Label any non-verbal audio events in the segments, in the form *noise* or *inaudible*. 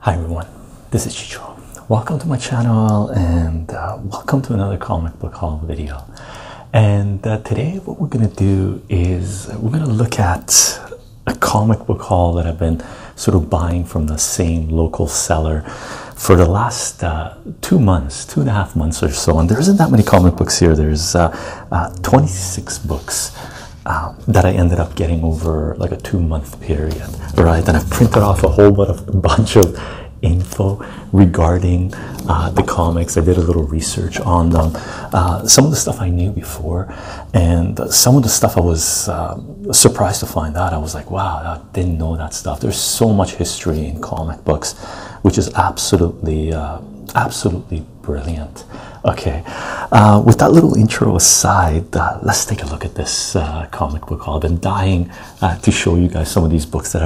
Hi everyone, this is Chicho. Welcome to my channel and uh, welcome to another comic book haul video. And uh, today what we're going to do is we're going to look at a comic book haul that I've been sort of buying from the same local seller for the last uh, two months, two and a half months or so, and there isn't that many comic books here. There's uh, uh, 26 books um, that I ended up getting over like a two month period, right? And i printed off a whole bunch of *laughs* info regarding the comics. I did a little research on them, some of the stuff I knew before, and some of the stuff I was surprised to find out. I was like, wow, not didn't know that stuff. There's so much history in comic books, which is absolutely uh, absolutely brilliant. Okay, uh, with that little intro aside, uh, let's take a look at this comic book. I've been dying to show you guys some of these books that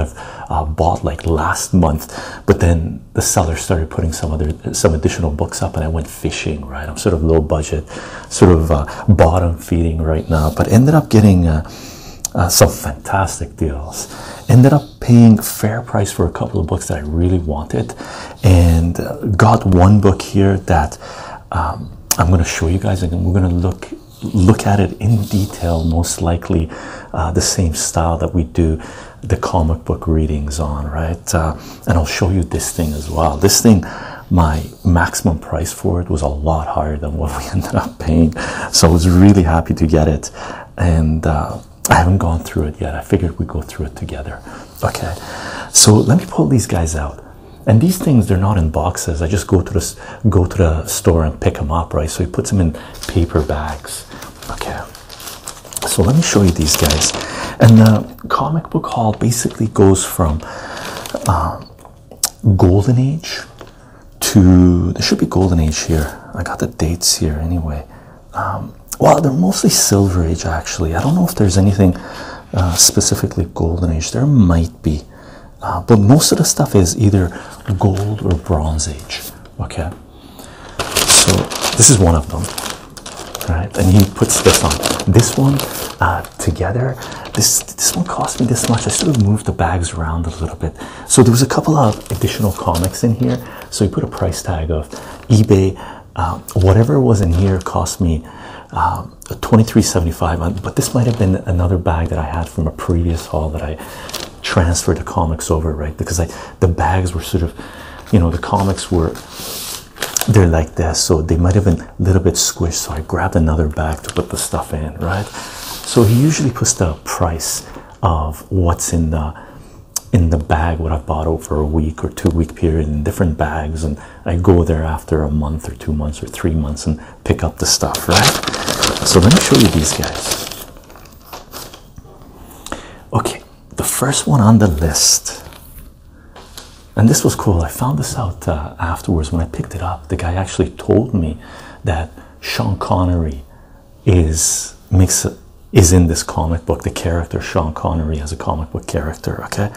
I've bought like last month, but then the seller started putting some other some additional books up, and I went fishing. Right, I'm sort of low budget, sort of bottom feeding right now, but ended up getting. Uh, some fantastic deals. Ended up paying fair price for a couple of books that I really wanted, and uh, got one book here that um, I'm going to show you guys, and we're going to look look at it in detail. Most likely, uh, the same style that we do the comic book readings on, right? and I'll show you this thing as well. This thing, my maximum price for it was a lot higher than what *laughs* we ended up paying. So I was really happy to get it. And uh, I haven't gone through it yet. I figured we'd go through it together. Okay. So let me pull these guys out. And these things, they're not in boxes. I just go to the, go to the store and pick them up, right? So he puts them in paper bags. Okay. So let me show you these guys. And the comic book haul basically goes from uh, golden age to there should be golden age here. I got the dates here anyway. Um, well, they're mostly silver age actually. I don't know if there's anything uh, specifically golden age. There might be, uh, but most of the stuff is either gold or bronze age. Okay, so this is one of them. All right, and he puts this on this one uh, together. This this won't cost me this much. I sort of moved the bags around a little bit. So there was a couple of additional comics in here. So you put a price tag of eBay. Uh, whatever was in here cost me uh, 23.75. But this might have been another bag that I had from a previous haul that I transferred the comics over, right? Because the bags were sort of, you know, the comics were they're like this, so they might have been a little bit squished. So I grabbed another bag to put the stuff in, right? So he usually puts the price of what's in the in the bag, what I've bought over a week or two week period in different bags, and I go there after a month or two months or three months and pick up the stuff, right? So let me show you these guys. Okay, the first one on the list, and this was cool. I found this out uh, afterwards when I picked it up. The guy actually told me that Sean Connery is makes is in this comic book. The character Sean Connery as a comic book character. Okay,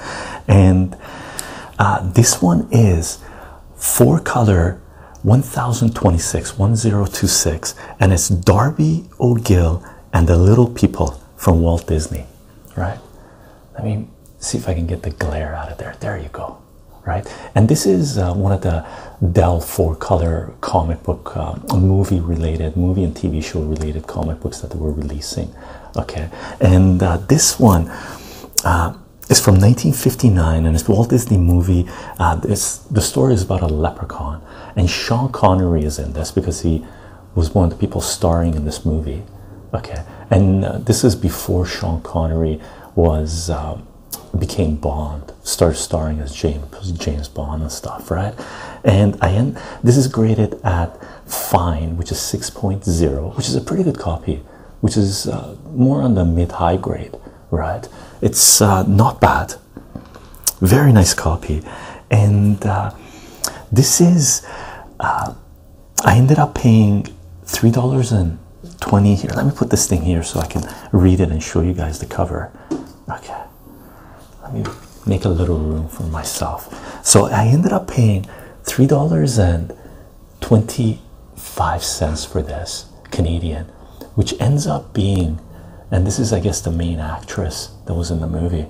and uh, this one is four color. 1026 1026 and it's Darby O'Gill and the Little People from Walt Disney, right? Let me see if I can get the glare out of there. There you go right? And this is uh, one of the Dell four color comic book, uh, movie related, movie and TV show related comic books that they were releasing. Okay, and uh, this one is from 1959, and it's Walt Disney movie. Uh, the story is about a leprechaun, and Sean Connery is in this because he was one of the people starring in this movie. Okay, and this is before Sean Connery was became Bond, started starring as James James Bond and stuff, right? And I am this is graded at fine, which is 6.0, which is a pretty good copy, which is uh, more on the mid-high grade, right? It's uh, not bad, very nice copy, and uh, this is. I ended up paying three dollars and 20 here. Let me put this thing here so I can read it and show you guys the cover. Okay, let me make a little room for myself. So I ended up paying three dollars and 25 cents for this Canadian, which ends up being, and this is, I guess, the main actress that was in the movie,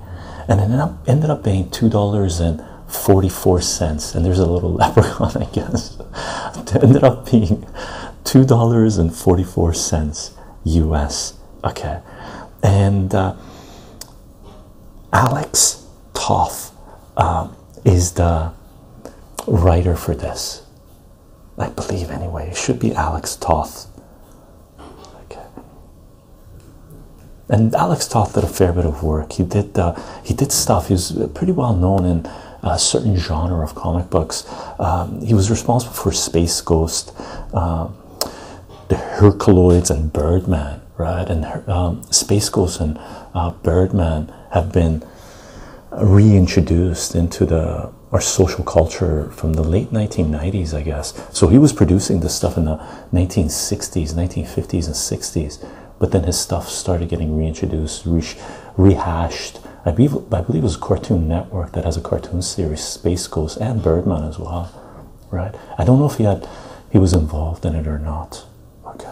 and ended up ended up being two dollars and 44 cents. And there's a little *laughs* leprechaun, I guess. *laughs* it ended up being two dollars and 44 cents US. Okay, and uh, Alex Toth um, is the writer for this. I believe, anyway, it should be Alex Toth. Okay, and Alex Toth did a fair bit of work. He did uh, he did stuff. He was pretty well known in a certain genre of comic books. Um, he was responsible for Space Ghost, um, the Herculoids, and Birdman. Right, and um, Space Ghost and uh, Birdman have been reintroduced into the our social culture from the late 1990s, I guess. So he was producing this stuff in the 1960s, 1950s, and 60s but then his stuff started getting reintroduced, rehashed. I believe I believe it was Cartoon Network that has a cartoon series, Space Ghost, and Birdman as well, right? I don't know if he had he was involved in it or not. Okay.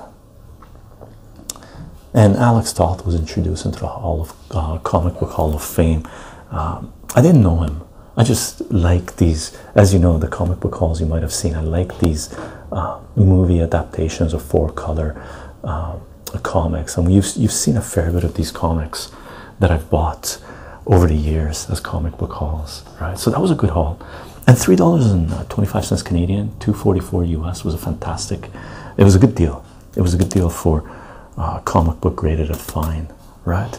And Alex Toth was introduced into the Hall of uh, Comic Book Hall of Fame. Um, I didn't know him. I just like these, as you know, the comic book halls you might have seen. I like these uh, movie adaptations of four color um, comics, and you've you've seen a fair bit of these comics that I've bought over the years as comic book hauls, right? So that was a good haul, and three dollars and twenty five cents Canadian, two forty four US was a fantastic. It was a good deal. It was a good deal for uh, comic book graded at fine, right?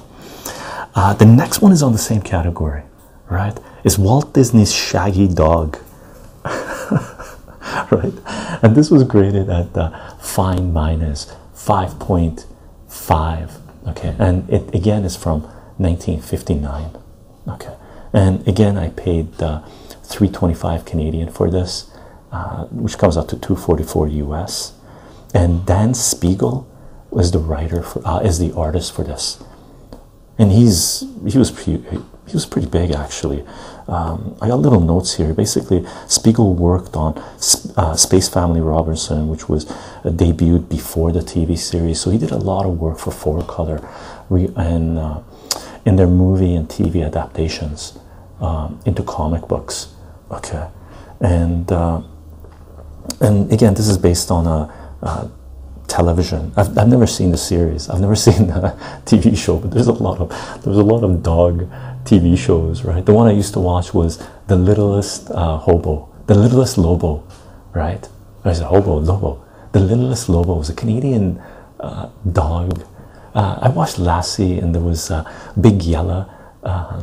Uh, the next one is on the same category, right? Is Walt Disney's Shaggy Dog *laughs* right? And this was graded at the fine minus 5.5. Okay, and it again is from 1959. Okay, and again, I paid the 325 Canadian for this, uh, which comes out to 244 US. And Dan Spiegel was the writer for, uh, is the artist for this and he's he was pretty he was pretty big actually. Um, I got little notes here. Basically, Spiegel worked on uh, Space Family Robinson, which was uh, debuted before the TV series. So he did a lot of work for Four Color, and uh, in their movie and TV adaptations um, into comic books. Okay, and uh, and again, this is based on a. television I've, I've never seen the series i've never *laughs* seen *laughs* TV show, but there's a lot of there's a lot of dog TV shows, right? The one I used to watch was The Littlest uh, Hobo, The Littlest Lobo, right? There's a hobo, Lobo. The Littlest Lobo was a Canadian uh, dog. Uh, I watched Lassie, and there was uh, Big Yellow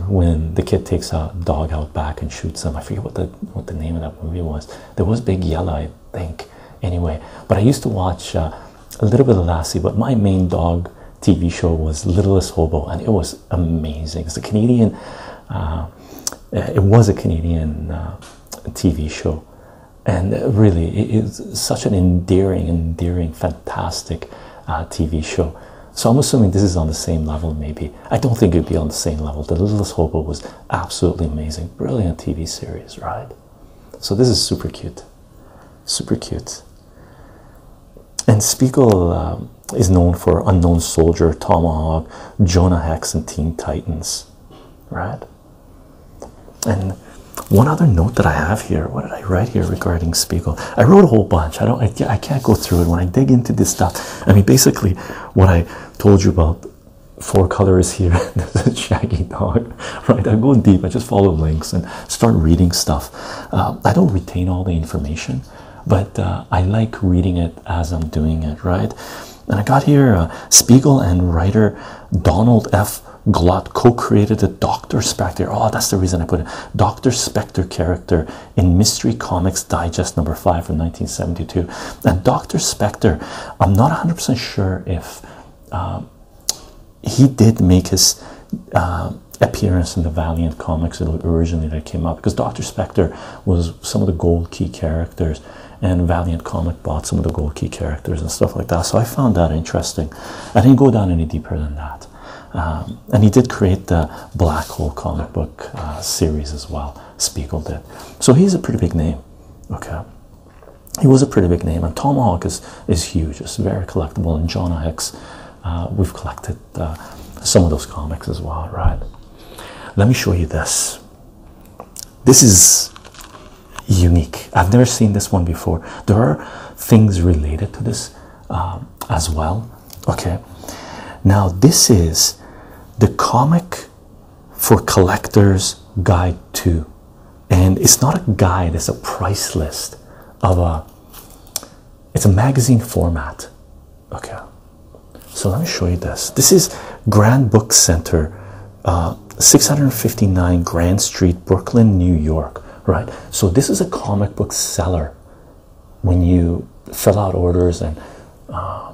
when the kid takes a dog out back and shoots him. I forget what the what the name of that movie was. There was Big Yellow, think, anyway. But I used to watch uh, a little bit of Lassie, but my main dog TV show was Littlest Hobo, and it was amazing. It's a Canadian, uh, uh, it was a Canadian TV show, and really, it is such an endearing, endearing, fantastic TV show. So I'm assuming this is on the same level, maybe. I don't think it'd be on the same level. The Littlest Hobo was absolutely amazing, brilliant TV series, right? So this is super cute, super cute. And Spiegel um, is known for Unknown Soldier, Tomahawk, Jonah Hex, and Teen Titans, right? And one other note that I have here, what did I write here regarding Spiegel? I wrote a whole bunch. I don't. I can't go through it. When I dig into this stuff, I mean, basically, what I told you about four colors here. *laughs* this is Shaggy Dog, right? I go deep. I just follow links and start reading stuff. Uh, I don't retain all the information, but uh, I like reading it as I'm doing it, right? And I got here uh, Spiegel and writer Donald F. Glott co-created the Doctor Spectre. Oh, that's the reason I put it. Doctor Spectre character in Mystery Comics Digest number five from 1972. And Doctor Spectre, I'm not 100% sure if. Um, he did make his uh, appearance in the Valiant comics originally that came out because Dr. Spectre was some of the gold key characters, and Valiant Comic bought some of the gold key characters and stuff like that. So I found that interesting. I didn't go down any deeper than that. Um, and he did create the Black Hole comic book uh, series as well. Spiegel did. So he's a pretty big name. Okay. He was a pretty big name, and Tomahawk is is huge. It's very collectible, and John X. Uh, we've collected uh, some of those comics as well, right? Let me show you this. This is unique. I've never seen this one before. There are things related to this um, as well. Okay. Now this is the comic for collectors guide to and it's not a guide it's a price list of a it's a magazine format okay so let me show you this this is grand book center uh, 659 grand street brooklyn new york right so this is a comic book seller when you fill out orders and uh,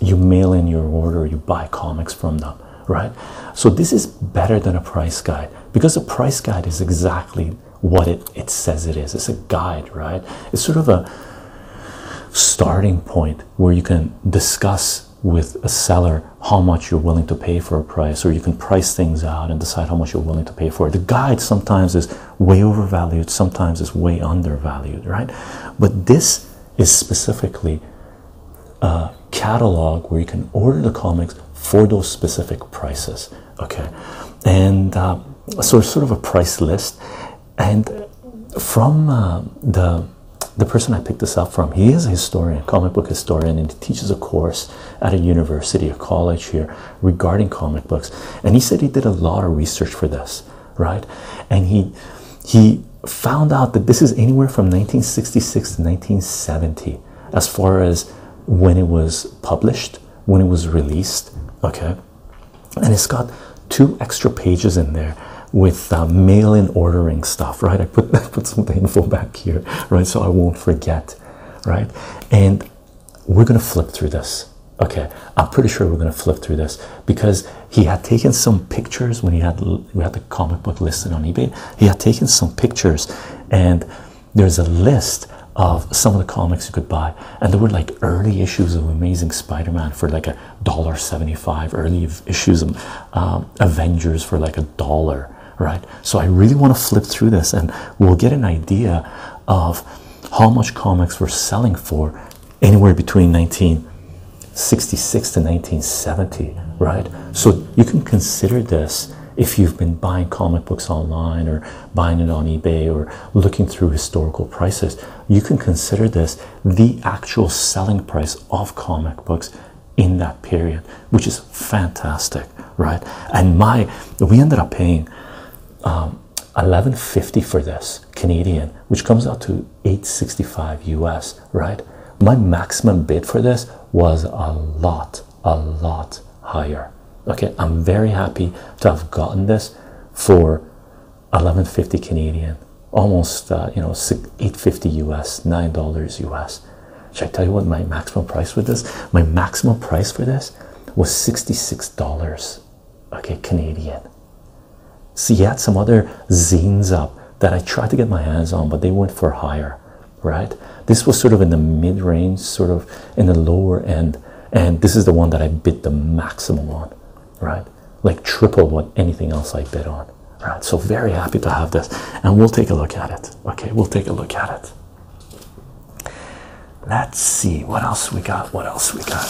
you mail in your order you buy comics from them right? So this is better than a price guide because a price guide is exactly what it, it says it is. It's a guide, right? It's sort of a starting point where you can discuss with a seller how much you're willing to pay for a price or you can price things out and decide how much you're willing to pay for it. The guide sometimes is way overvalued, sometimes is way undervalued, right? But this is specifically catalog where you can order the comics for those specific prices. Okay, and uh, so it's sort of a price list. And from uh, the the person I picked this up from, he is a historian, comic book historian, and he teaches a course at a university, a college here regarding comic books. And he said he did a lot of research for this, right? And he he found out that this is anywhere from 1966 to 1970 as far as when it was published, when it was released. Okay, and it's got two extra pages in there with uh, mail-in ordering stuff, right? I put *laughs* I put some of the info back here, right, so I won't forget, right? And we're gonna flip through this. Okay, I'm pretty sure we're gonna flip through this because he had taken some pictures when he had we had the comic book listed on eBay. He had taken some pictures, and there's a list of some of the comics you could buy, and there were like early issues of Amazing Spider-Man for like a dollar seventy-five, early issues of um, Avengers for like a dollar, right? So I really want to flip through this, and we'll get an idea of how much comics were selling for anywhere between 1966 to 1970 right so you can consider this if you've been buying comic books online or buying it on eBay or looking through historical prices. You can consider this the actual selling price of comic books in that period, which is fantastic, right? And my we ended up paying 11.50 um, for this Canadian, which comes out to 8.65 US right? My maximum bid for this was a lot, a lot higher. Okay, I'm very happy to have gotten this for 1150 Canadian, almost uh, you know 850 US, nine dollars US. Should I tell you what my maximum price for this? My maximum price for this was $66. Okay, Canadian. See, you had some other zines up that I tried to get my hands on, but they went for higher right? This was sort of in the mid range, sort of in the lower end, and this is the one that I bid the maximum on, right? Like triple what anything else I bid on, right? So, very happy to have this, and we'll take a look at it, okay? We'll take a look at it. Let's see what else we got. What else we got?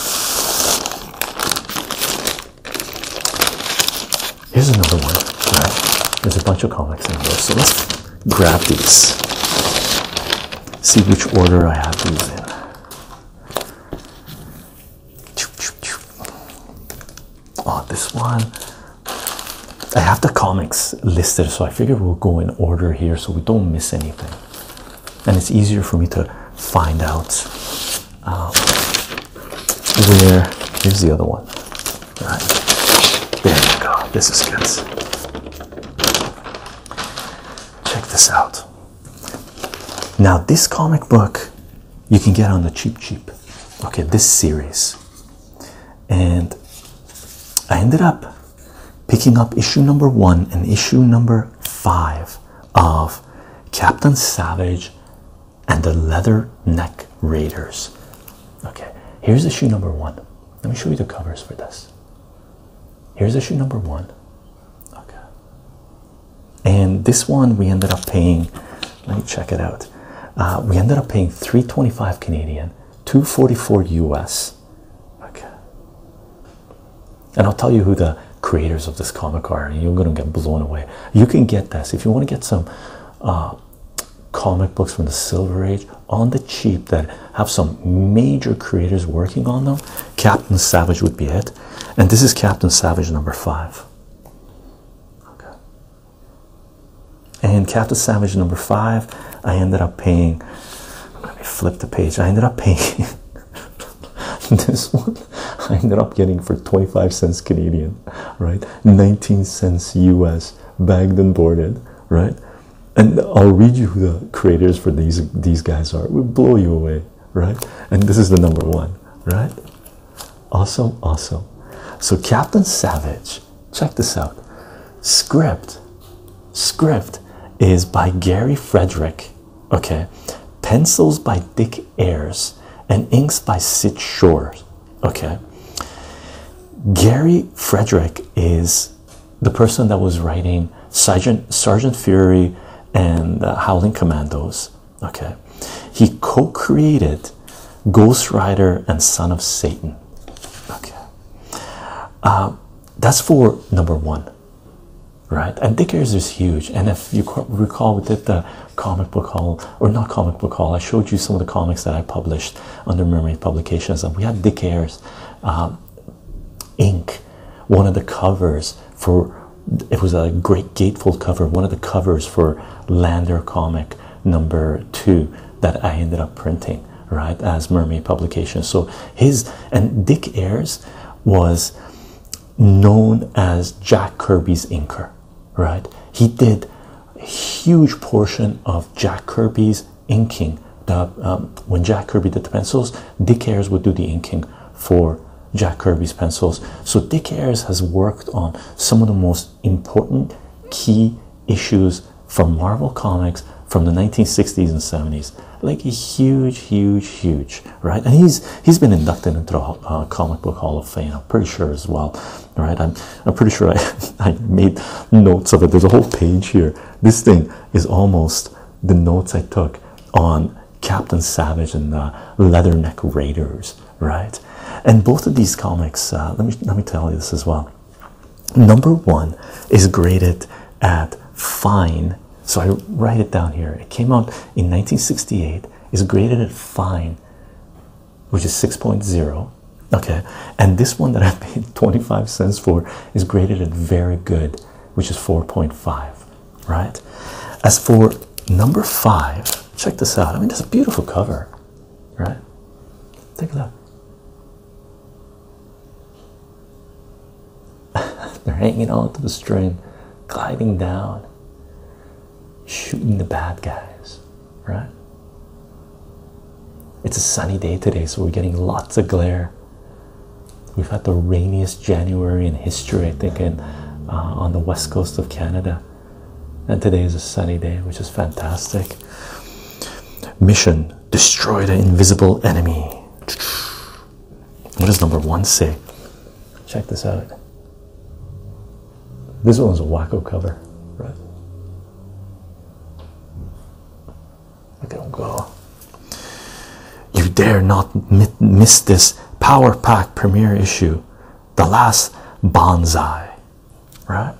Here's another one. there's a bunch of comics in there, so let's grab these. See which order I have these in. Oh, this one. I have the comics listed, so I figure we'll go in order here so we don't miss anything. And it's easier for me to find out uh, here, here's the other one. There you go. This is good. Check this out. Now, this comic book you can get on the cheap, cheap. Okay, this series. And I ended up picking up issue number one and issue number five of Captain Savage and the leather neck raiders okay here's the shoe number one let me show you the covers for this here's the shoe number one okay and this one we ended up paying let me check it out uh, we ended up paying 325 canadian 244 us okay and i'll tell you who the creators of this comic are and you're going to get blown away you can get this if you want to get some uh, comic books from the Silver Age on the cheap that have some major creators working on them, Captain Savage would be it. And this is Captain Savage number five. Okay. And Captain Savage number five, I ended up paying. Let me flip the page. I ended up paying *laughs* this one. I ended up getting for 25 cents Canadian, right? 19 cents US bagged and boarded, right? And I'll read you who the creators for these these guys are. We'll blow you away, right? And this is the number one, right? Awesome, awesome. So Captain Savage, check this out. Script, script is by Gary Frederick. Okay, pencils by Dick Ayers and inks by Sid Shore. Okay, Gary Frederick is the person that was writing Sergeant Fury and Howling Commandos. Okay, he co-created Ghost Rider and Son of Satan. Okay, uh, that's for number one, right? And Dickers is huge. And if you recall, we did the comic book hall, or not comic book hall. I showed you some of the comics that I published under Mermaid Publications, and we had Dick Ayers um, ink. One of the covers for it was a great gatefold cover. One of the covers for Lander comic number two that I ended up printing right as Mermaid Publications. So his and Dick Ayers was known as Jack Kirby's inker, right? He did a huge portion of Jack Kirby's inking. Um, when Jack Kirby did the pencils, Dick Ayers would do the inking for Jack Kirby's pencils. So Dick Ayers has worked on some of the most important key issues for Marvel Comics from the 1960s and 70s. Like a huge, huge, huge, right? And he's he's been inducted into the uh, Comic Book Hall of Fame, I'm pretty sure as well. All right, I'm I'm pretty sure I *laughs* I made notes of it. There's a whole page here. This thing is almost the notes I took on Captain Savage and the Leatherneck Raiders, right? And both of these comics, uh, let me let me tell you this as well. Number one is graded at fine. So I write it down here. It came out in 1968. It's graded at fine which is 6.0 okay and this one that i paid *laughs* 25 cents for is graded at very good which is 4.5 right as for number five check this out i mean that's a beautiful cover right take a look *laughs* They're hanging on to the string, gliding down, shooting the bad guys right? It's a sunny day today, so we're getting lots of glare. We've had the rainiest January in history, I think, in, uh, on the west coast of Canada. And today is a sunny day, which is fantastic. Mission Destroy the invisible enemy. What does number one say? Check this out. This one's a wacko cover, right? Look at him go. You dare not miss this Power Pack premiere issue, The Last Bonsai, right?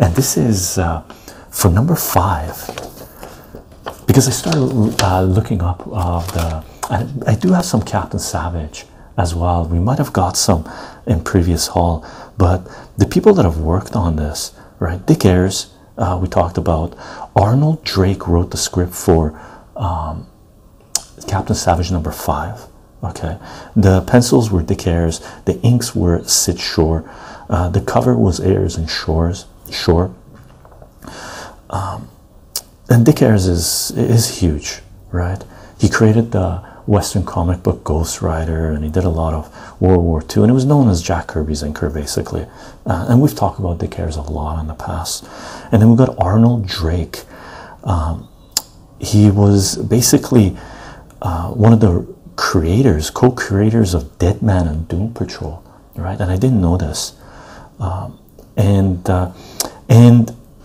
And this is uh, for number five because I started uh, looking up uh, the. I do have some Captain Savage as well. We might have got some in previous haul, but the people that have worked on this, right? Dick Ayers, uh, we talked about. Arnold Drake wrote the script for um, Captain Savage number five. Okay, the pencils were Dick Ayers, the inks were Sid Shore, uh, the cover was Ayers and Shores. Shore. Um, and Dick Ayers is is huge, right? He created the Western comic book Ghost Rider, and he did a lot of World War II, and it was known as Jack Kirby's Inker, basically. Uh, and we've talked about the cares a lot in the past. And then we've got Arnold Drake. Um, he was basically uh, one of the creators, co-creators of Deadman and Doom Patrol, right? And I didn't know this. Um, and uh, and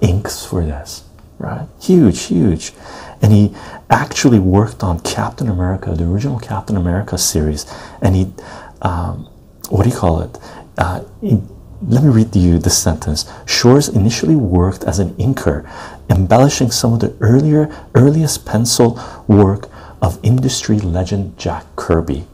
inks for this, right? Huge, huge. And he actually worked on Captain America, the original Captain America series. And he, um, what do you call it? Uh, let me read you the sentence. Shores initially worked as an inker, embellishing some of the earlier, earliest pencil work of industry legend Jack Kirby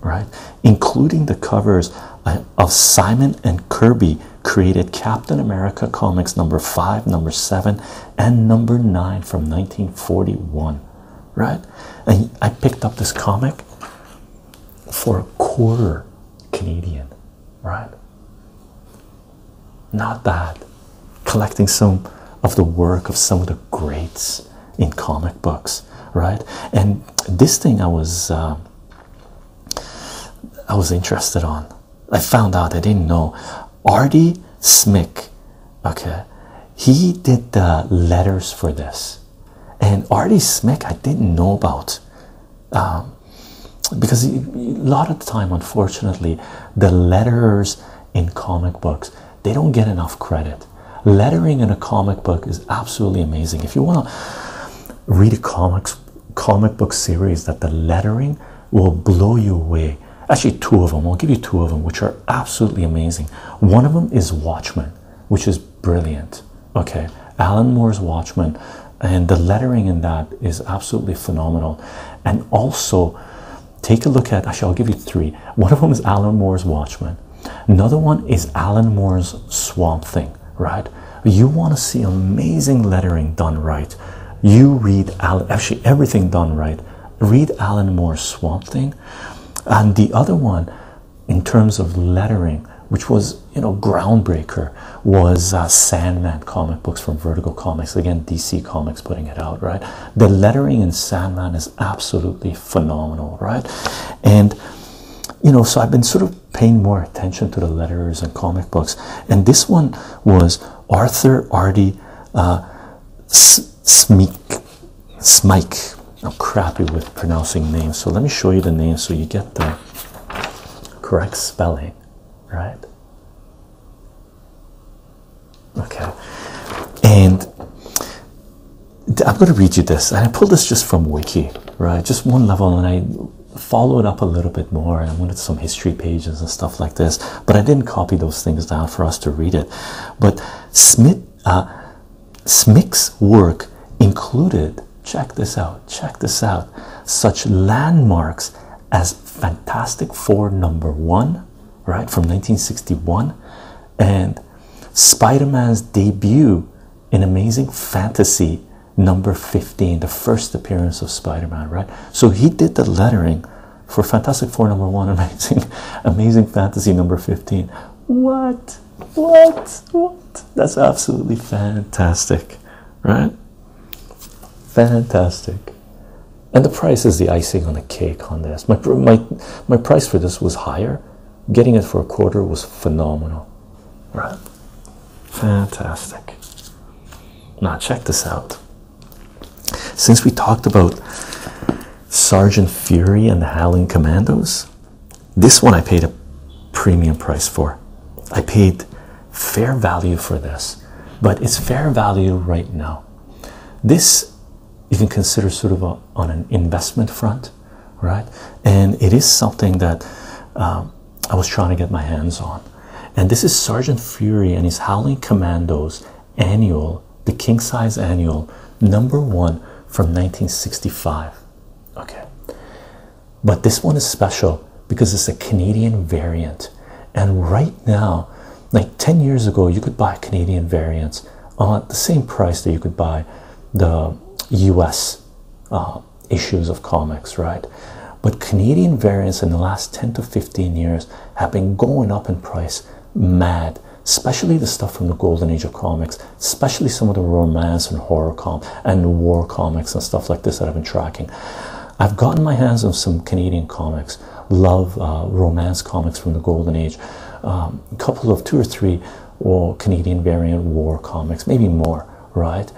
right? Including the covers uh, of Simon and Kirby created Captain America comics number five, number seven, and number nine from 1941, right? And I picked up this comic for a quarter Canadian, right? Not bad. Collecting some of the work of some of the greats, in comic books, right? And this thing I was uh, I was interested on. I found out I didn't know Artie Smick. Okay, he did the letters for this, and Artie Smick I didn't know about. Um, because a lot of the time unfortunately the letters in comic books they don't get enough credit Lettering in a comic book is absolutely amazing. If you want to read a comics comic book series that the lettering will blow you away. Actually, two of them. I'll give you two of them, which are absolutely amazing. One of them is Watchmen, which is brilliant. Okay, Alan Moore's Watchmen, and the lettering in that is absolutely phenomenal. And also, take a look at. Actually, I'll give you three. One of them is Alan Moore's Watchmen. Another one is Alan Moore's Swamp Thing, right? You want to see amazing lettering done right. You read Alan, actually everything done right. Read Alan Moore's Swamp Thing, and the other one, in terms of lettering, which was you know groundbreaker, was uh, Sandman comic books from Vertical Comics. Again, DC Comics putting it out, right? The lettering in Sandman is absolutely phenomenal, right? And you know, so I've been sort of paying more attention to the letters and comic books. And this one was Arthur Artie uh, Smike. Smike. I'm crappy with pronouncing names, so let me show you the name so you get the correct spelling, right? Okay, and I'm going to read you this, and I pulled this just from Wiki, right? Just one level, and I followed up a little bit more. And I to some history pages and stuff like this, but I didn't copy those things down for us to read it. But Smith, uh, Smick's work included, check this out, check this out, such landmarks as Fantastic Four number one, right, from 1961, and Spider Man's debut in Amazing Fantasy number 15, the first appearance of Spider Man, right? So he did the lettering for Fantastic Four number one, *laughs* Amazing, Amazing Fantasy number 15. What? What? What? That's absolutely fantastic, right? Fantastic. And the price is the icing on the cake on this. My, my, my price for this was higher. Getting it for a quarter was phenomenal, right? Fantastic. Now, check this out. Since we talked about Sergeant Fury and the Howling Commandos, this one I paid a premium price for. I paid fair value for this, but it's fair value right now. This you can consider sort of on an investment front right? And it is something that um, I was trying to get my hands on. And this is Sergeant Fury and his Howling Commandos annual, the king size annual, number one from 1965. Okay. But this one is special because it's a Canadian variant. And right now, like 10 years ago, you could buy Canadian variants at the same price that you could buy the US uh, issues of comics, right? But Canadian variants in the last 10 to 15 years have been going up in price mad, especially the stuff from the golden age of comics, especially some of the romance and horror com and war comics and stuff like this that I've been tracking. I've gotten my hands on some Canadian comics, love uh, romance comics from the golden age. Um, a couple of two or three or Canadian variant war comics, maybe more, right?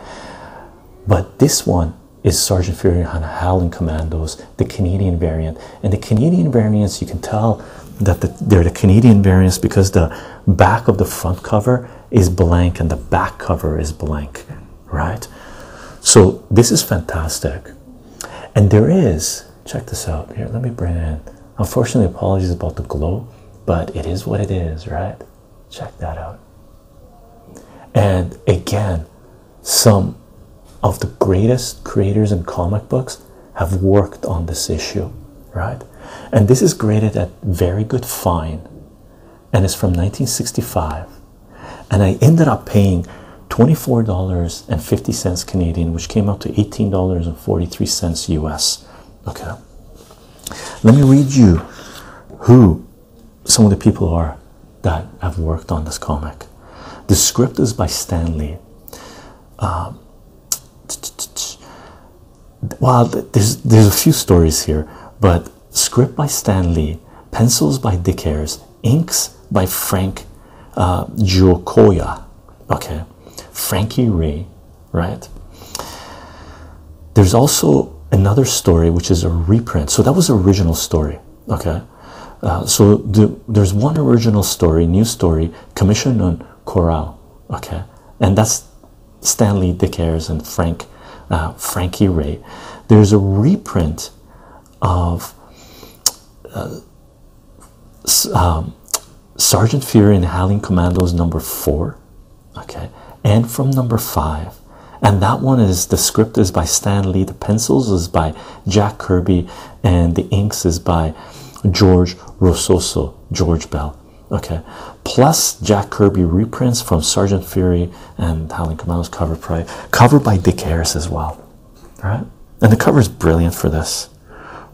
But this one is Sergeant Fury and Howling Commandos, the Canadian variant. And the Canadian variants, you can tell that they're the Canadian variants because the back of the front cover is blank and the back cover is blank, right? So this is fantastic. And there is, check this out here, let me bring in Unfortunately, apologies about the glow, but it is what it is, right? Check that out. And again, some of the greatest creators in comic books have worked on this issue, right? And this is graded at very good fine and it's from 1965. And I ended up paying $24.50 Canadian, which came out to $18.43 US. Okay. Let me read you who some of the people are that have worked on this comic. The script is by Stanley. Um, uh, well, there's there's a few stories here, but script by Stanley, pencils by Dick Ayers, inks by Frank uh, Giocoya. Okay, Frankie Ray right? There's also another story which is a reprint. So that was the original story, okay? Uh, so there's one original story, new story, commissioned on Corral, okay? And that's Stanley Dickers and Frank, uh, Frankie Ray. There's a reprint of uh, um, Sergeant Fury and Howling Commandos number four, okay, and from number five. And that one is the script is by Stan Lee, the pencils is by Jack Kirby, and the inks is by George Rososo, George Bell. Okay, plus Jack Kirby reprints from Sergeant Fury and Howling Commandos cover price, covered by Dick Harris as well. right? and the cover is brilliant for this.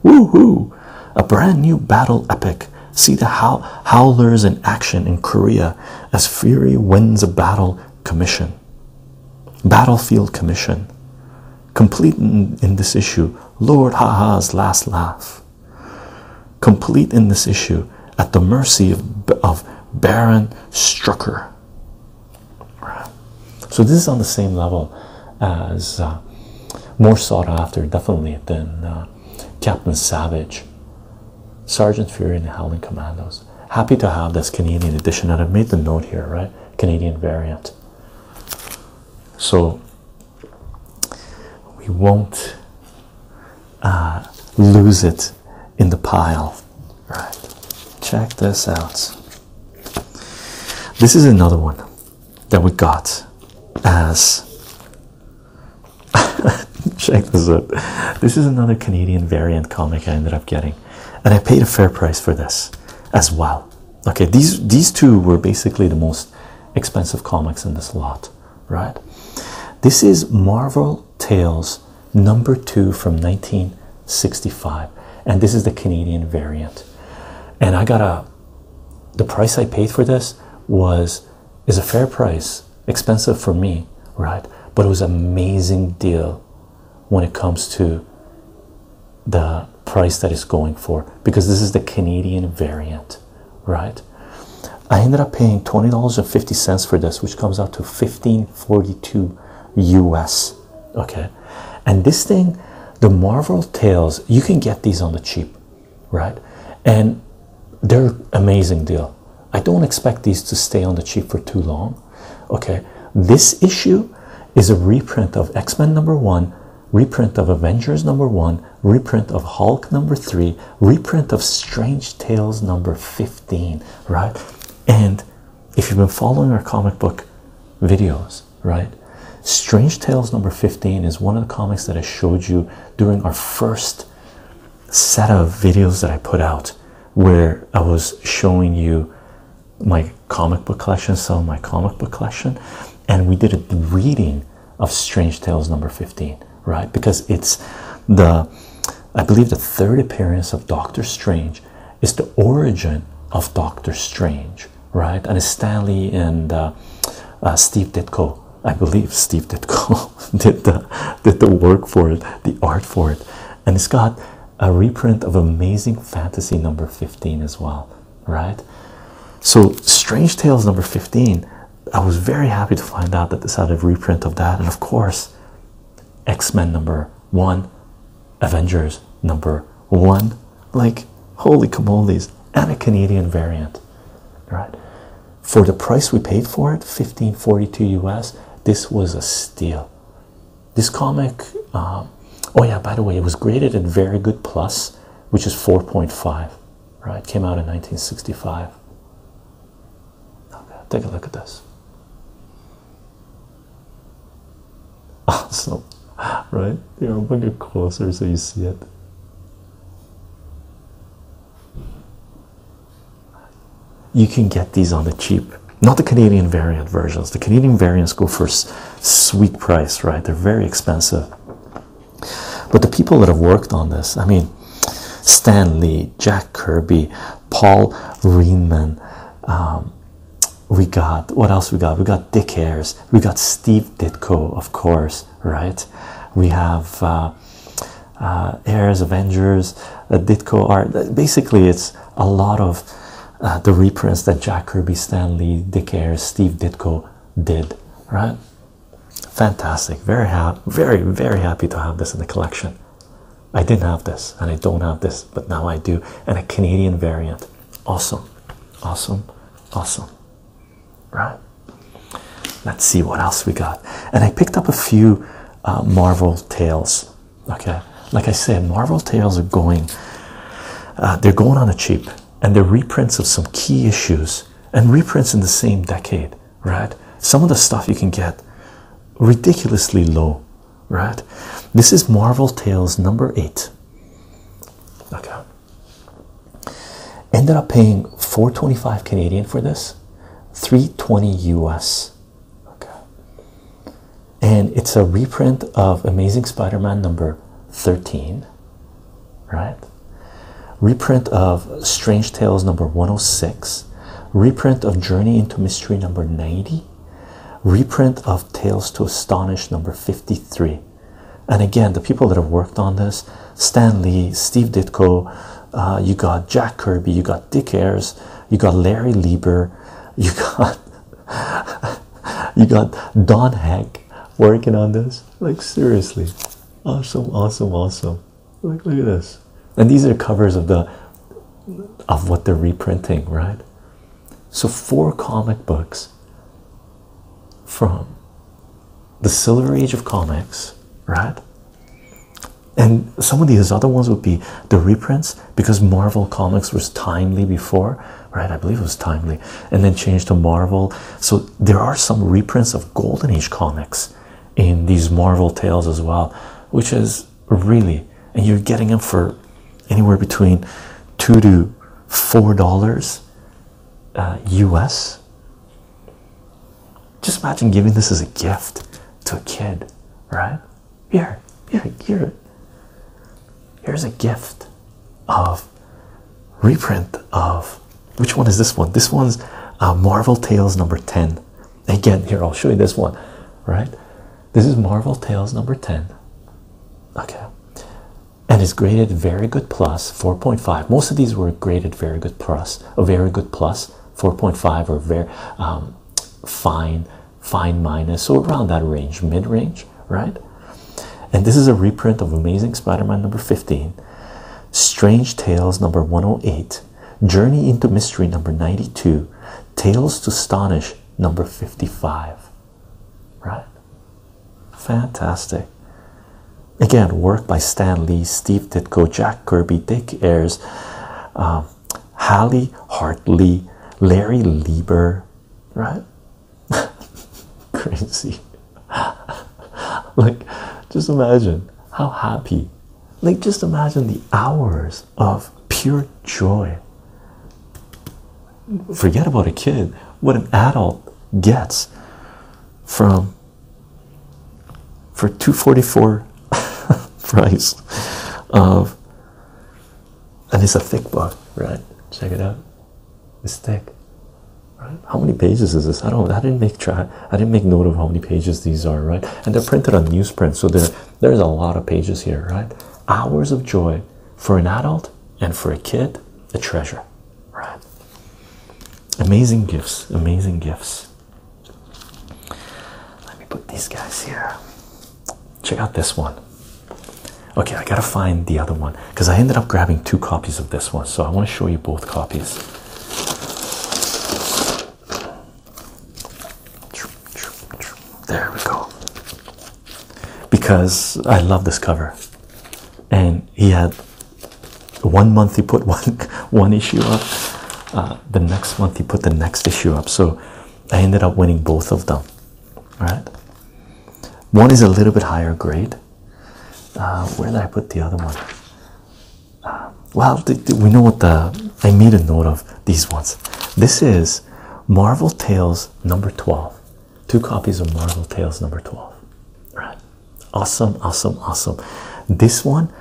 Woo hoo! A brand new battle epic. See the howlers in action in Korea as Fury wins a battle commission. Battlefield commission. Complete in, this issue. Lord Haha's last laugh. Complete in this issue at the mercy of, Baron Strucker. So this is on the same level as uh, more sought after, definitely than uh, Captain Savage, Sergeant Fury, and the Howling Commandos. Happy to have this Canadian edition, and I've made the note here, right? Canadian variant. So we won't uh, lose it in the pile. Right. Check this out. This is another one that we got as *laughs* check this out. This is another Canadian variant comic I ended up getting, and I paid a fair price for this as well. Okay, these these two were basically the most expensive comics in this lot, right? This is Marvel Tales number two from 1965, and this is the Canadian variant. And I got a the price I paid for this was is a fair price, expensive for me, right? But it was an amazing deal when it comes to the price that it's going for because this is the Canadian variant, right? I ended up paying $20.50 for this, which comes out to 1542 US. Okay. And this thing, the Marvel Tales, you can get these on the cheap right? And they're amazing deal. I don't expect these to stay on the cheap for too long. Okay, this issue is a reprint of X Men number one, reprint of Avengers number one, reprint of Hulk number three, reprint of Strange Tales number 15, right? And if you've been following our comic book videos, right? Strange Tales number 15 is one of the comics that I showed you during our first set of videos that I put out where I was showing you my comic book collection, some of my comic book collection, and we did a reading of Strange Tales number 15, right? Because it's the, I believe, the third appearance of Doctor Strange is the origin of Doctor Strange, right? And it's Stanley and uh, uh, Steve Ditko I believe Steve Ditko *laughs* did the did the work for it, the art for it, and it's got a reprint of Amazing Fantasy number 15 as well, right? So Strange Tales number 15. I was very happy to find out that this had a reprint of that, and of course, X-Men number one, Avengers number one. Like holy camolies and a Canadian variant right? For the price we paid for it, 1542 US, this was a steal. This comic, um, oh yeah, by the way, it was graded at very good plus, which is 4.5, right? Came out in 1965. Okay, take a look at this. *laughs* Awesome, right? Here, I'll bring it closer so you see it. You can get these on the cheap, not the Canadian variant versions. The Canadian variants go for sweet price, right? They're very expensive. But the people that have worked on this, I mean, Stan Lee, Jack Kirby, Paul Reenman, um, we got what else we got? We got Dick Ayers, we got Steve Ditko, of course, right? We have uh, Airs uh, Avengers, Ditko art. Basically, it's a lot of uh, the reprints that Jack Kirby, Stan Lee, Dick Ayers, Steve Ditko did, right? Fantastic. Very happy, very, very happy to have this in the collection. I didn't have this and I don't have this, but now I do. And a Canadian variant. Awesome. Awesome. Awesome right? Let's see what else we got. And I picked up a few uh, Marvel tales. Okay, like I said, Marvel tales are going. Uh, they're going on a cheap, and they're reprints of some key issues and reprints in the same decade, right? Some of the stuff you can get ridiculously low, right? This is Marvel Tales number eight. Okay, Ended up paying 425 Canadian for this, 320 US. Okay. And it's a reprint of Amazing Spider-Man number 13. Right? Reprint of Strange Tales number 106. Reprint of Journey into Mystery number 90. Reprint of Tales to Astonish number 53 and again the people that have worked on this stan lee steve ditko uh, you got jack kirby you got dick ayers you got larry lieber *laughs* you got you got don heck working on this like seriously awesome awesome awesome like look at this and these are covers of the of what they're reprinting right so four comic books from the Silver Age of comics, right? And some of these other ones would be the reprints because Marvel Comics was timely before, right? I believe it was timely, and then changed to Marvel. So there are some reprints of Golden Age comics in these Marvel tales as well, which is really, and you're getting them for anywhere between two to four dollars US. Uh, just imagine giving this as a gift to a kid, right? Here, here, here. Here's a gift of reprint of which one is this one? This one's uh, Marvel Tales number 10. Again, here I'll show you this one, right? This is Marvel Tales number 10. Okay. And it's graded very good plus 4.5. Most of these were graded very good plus a very good plus, 4.5 or very um, fine, fine minus, so around that range, mid range, right? And this is a reprint of Amazing Spider Man number 15, Strange Tales number 108, Journey into Mystery number 92, Tales to Astonish number 55, right? Fantastic. Again, work by Stan Lee, Steve Ditko, Jack Kirby, Dick Ayers, um, Hallie Hartley, Larry Lieber, right? *laughs* Crazy. *laughs* like, just imagine how happy. Like, just imagine the hours of pure joy. Forget about a kid. What an adult gets from for 244 *laughs* price of and it's a thick book right check it out it's thick right how many pages is this i don't i didn't make try i didn't make note of how many pages these are right and they're printed on newsprint so there there's a lot of pages here right hours of joy for an adult and for a kid a treasure right? Amazing gifts, amazing gifts. Let me put these guys here. Check out this one. Okay, I gotta find the other one because I ended up grabbing two copies of this one, so I want to show you both copies. There we go. Because I love this cover, and he had one month he put *laughs* one one issue up uh, the next month he put the next issue up so i ended up winning both of them right one is a little bit higher grade uh, where did i put the other one uh, well we know what the i made a note of these ones this is marvel tales number 12 two copies of marvel tales number 12 right Awesome, awesome, awesome. This one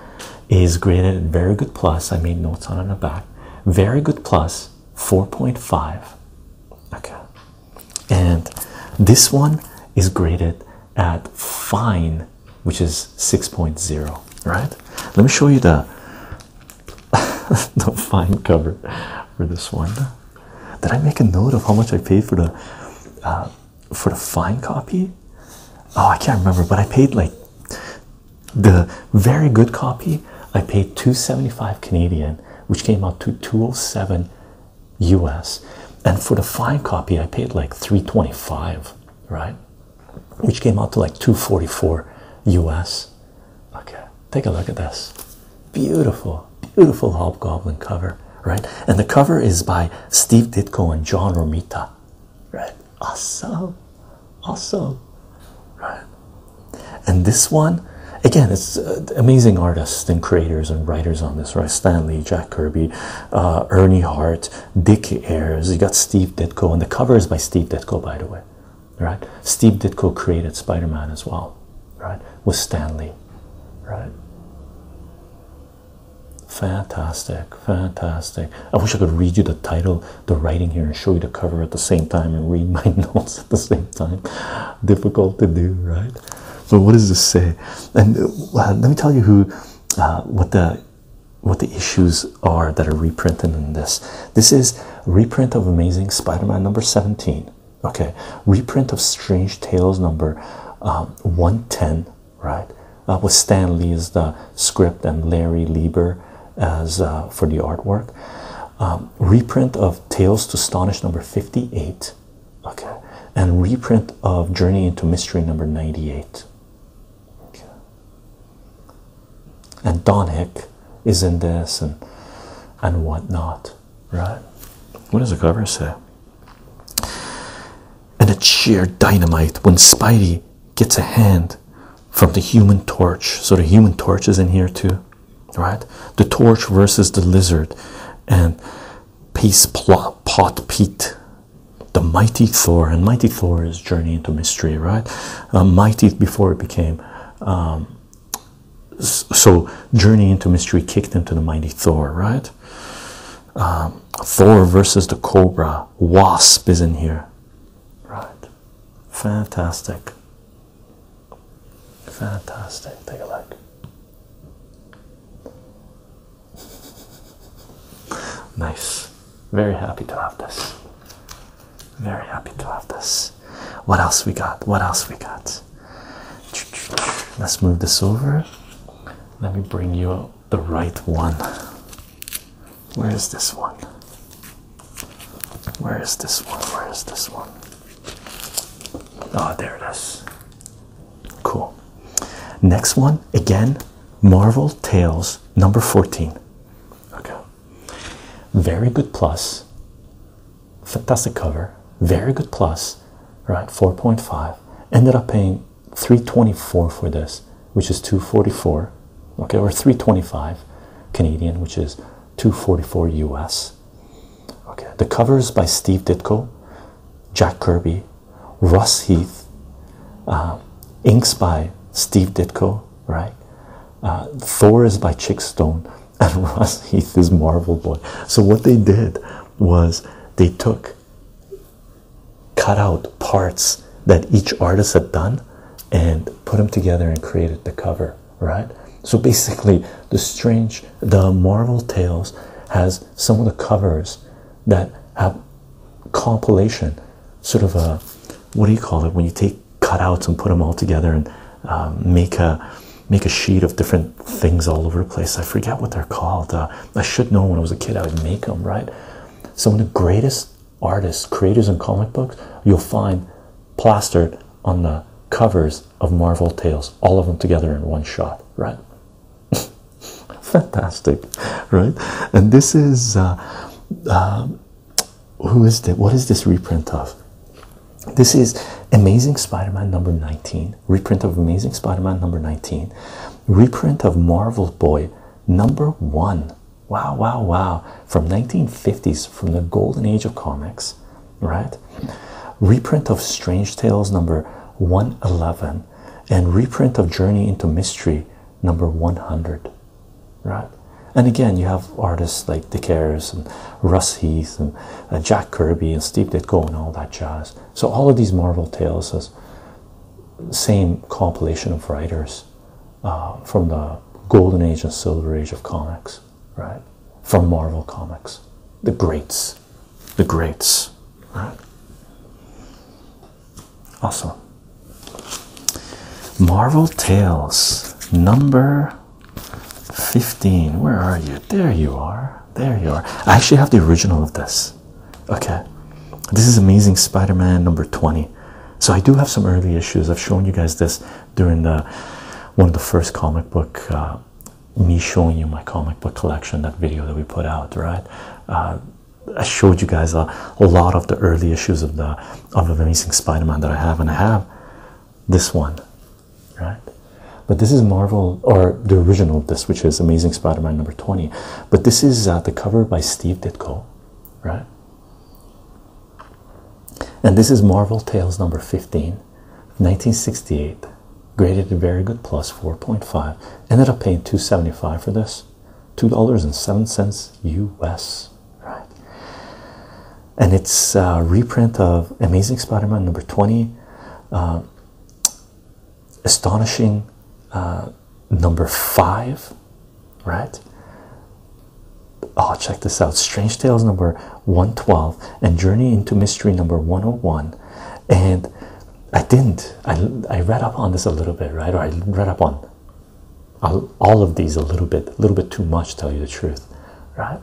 is graded at very good plus. I made notes on it in the back. Very good plus 4.5. Okay. And this one is graded at fine, which is 6.0. Right? Let me show you the *laughs* the fine cover for this one. Did I make a note of how much I paid for the uh, for the fine copy. Oh, I can't remember, but I paid like the very good copy. I paid 275 Canadian, which came out to 207 US, and for the fine copy, I paid like 325, right? Which came out to like 244 US. Okay, take a look at this beautiful, beautiful hobgoblin cover right? And the cover is by Steve Ditko and John Romita, right? Awesome, awesome, right? And this one, again, it's uh, amazing artists and creators and writers on this, right? Stanley, Jack Kirby, uh, Ernie Hart, Dick Ayers. You got Steve Ditko, and the cover is by Steve Ditko, by the way, right? Steve Ditko created Spider Man as well, right? With Stanley, right? Fantastic, fantastic. I wish I could read you the title, the writing here, and show you the cover at the same time and read *laughs* my notes at the same time. Difficult to do, right? So, what does this say? And uh, let me tell you who, uh, what the, what the issues are that are reprinted in this. This is reprint of Amazing Spider-Man number seventeen. Okay, reprint of Strange Tales number uh, one ten right? Uh, with Stan Lee as the script and Larry Lieber as uh, for the artwork. Um, reprint of Tales to Astonish number 58, okay, and reprint of Journey into Mystery number 98. Okay. And Don Hick is in this and and whatnot, right? What does the cover say? And it's sheer dynamite when Spidey gets a hand from the human torch. So the human torch is in here too, right? The torch versus the lizard and Peace Pot Pete. The mighty Thor and mighty Thor's journey into mystery, right? Uh, mighty before it became um, so journey into mystery kicked into the mighty Thor, right? um, Thor versus the Cobra. Wasp is in here. Right. Fantastic. Fantastic. Take a look. *laughs* Nice. Very happy to have this. Very happy to have this. What else we got? What else we got? Let's move this over. Let me bring you up the right one. Where is this one? Where is this one? Where is this one? Oh, there it is. Cool. Next one again Marvel Tales number 14. Okay. Very good plus. Fantastic cover. Very good plus. Right. 4.5. Ended up paying 324 for this, which is 244, okay, or 325 Canadian, which is 244 US. Okay, the covers by Steve Ditko, Jack Kirby, Russ Heath, uh, inks by Steve Ditko, right? Uh, Thor is by Chick Stone, *laughs* and Russ Heath is Marvel Boy. So, what they did was they took cut out parts that each artist had done and put them together and created the cover, right? So basically, the strange, the Marvel Tales has some of the covers that have compilation, sort of a what do you call it when you take cutouts and put them all together and um, make a make a sheet of different things all over the place. I forget what they're called. Uh, I should know when I was a kid I would make them, right? Some of the greatest artists, creators in comic books, you'll find plastered on the covers of Marvel Tales, all of them together in one shot, right? *laughs* Fantastic, right? And this is uh, uh, who is that? What is this reprint of? This is Amazing Spider Man number 19, reprint of Amazing Spider Man number 19 reprint of Marvel Boy number one. Wow, wow, wow. From 1950s, from the golden age of comics, right? Reprint of Strange Tales number 111 and reprint of Journey into Mystery number 100, right? And again, you have artists like Dick Ayers and Russ Heath and uh, Jack Kirby and Steve Ditko and all that jazz. So all of these Marvel tales is same compilation of writers uh, from the golden age and silver age of comics, right? From Marvel Comics, the greats, the greats, right? Awesome. Marvel Tales number 15. Where are you? There you are. There you are. I actually have the original of this. Okay, this is amazing Spider Man number 20. So, I do have some early issues. I've shown you guys this during the one of the first comic book, uh, me showing you my comic book collection, that video that we put out, right? Uh, I showed you guys a, a lot of the early issues of the of the Amazing Spider-Man that I have, and I have this one, right? But this is Marvel or the original of this, which is Amazing Spider-Man number 20. But this is uh, the cover by Steve Ditko, right? And this is Marvel Tales number 15, 1968. Graded very good plus 4.5. Ended up paying 275 for this. $2.07 US, right? And it's a reprint of Amazing Spider Man number 20, uh, Astonishing uh, number five, right? Oh, check this out Strange Tales number 112 and Journey into Mystery number 101. And I didn't, I, I read up on this a little bit, right? Or I read up on all of these a little bit, a little bit too much, tell you the truth, right?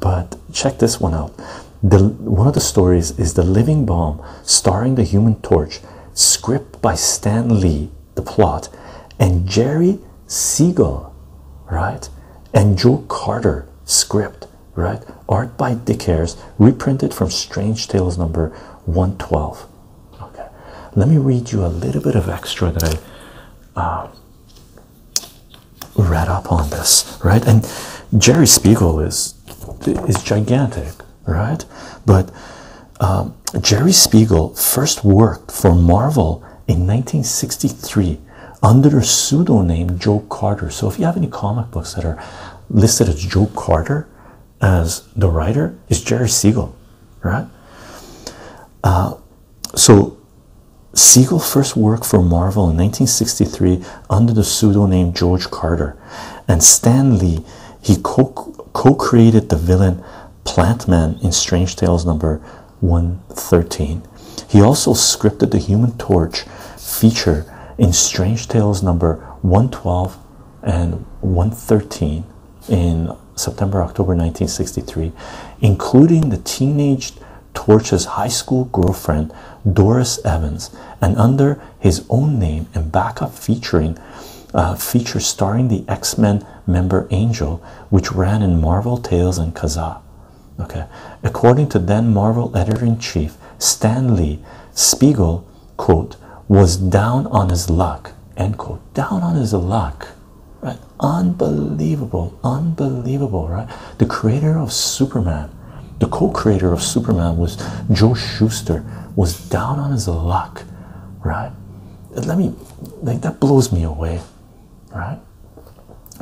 But check this one out. The one of the stories is The Living Bomb, starring the Human Torch, script by Stan Lee, the plot, and Jerry Siegel, right? And Joe Carter, script, right? Art by Dick Ayers, reprinted from Strange Tales number 112. Okay, let me read you a little bit of extra that I uh, read up on this, right? And Jerry Siegel is is gigantic right? But um, Jerry Spiegel first worked for Marvel in 1963 under a pseudonym Joe Carter. So if you have any comic books that are listed as Joe Carter as the writer, it's Jerry Siegel, right? Uh, so Siegel first worked for Marvel in 1963 under the pseudonym George Carter and Stan Lee he co-created the villain Plantman in Strange Tales number 113. He also scripted the Human Torch feature in Strange Tales number 112 and 113 in September October 1963, including the teenage Torch's high school girlfriend Doris Evans, and under his own name and backup featuring uh, feature starring the X-Men member Angel, which ran in Marvel Tales and Kazaa. Okay, according to then Marvel editor-in-chief Stanley Spiegel quote was down on his luck. End quote. Down on his luck. Right? Unbelievable, unbelievable, right? The creator of Superman, the co-creator of Superman was Joe Schuster, was down on his luck, right? Let me like that blows me away, right?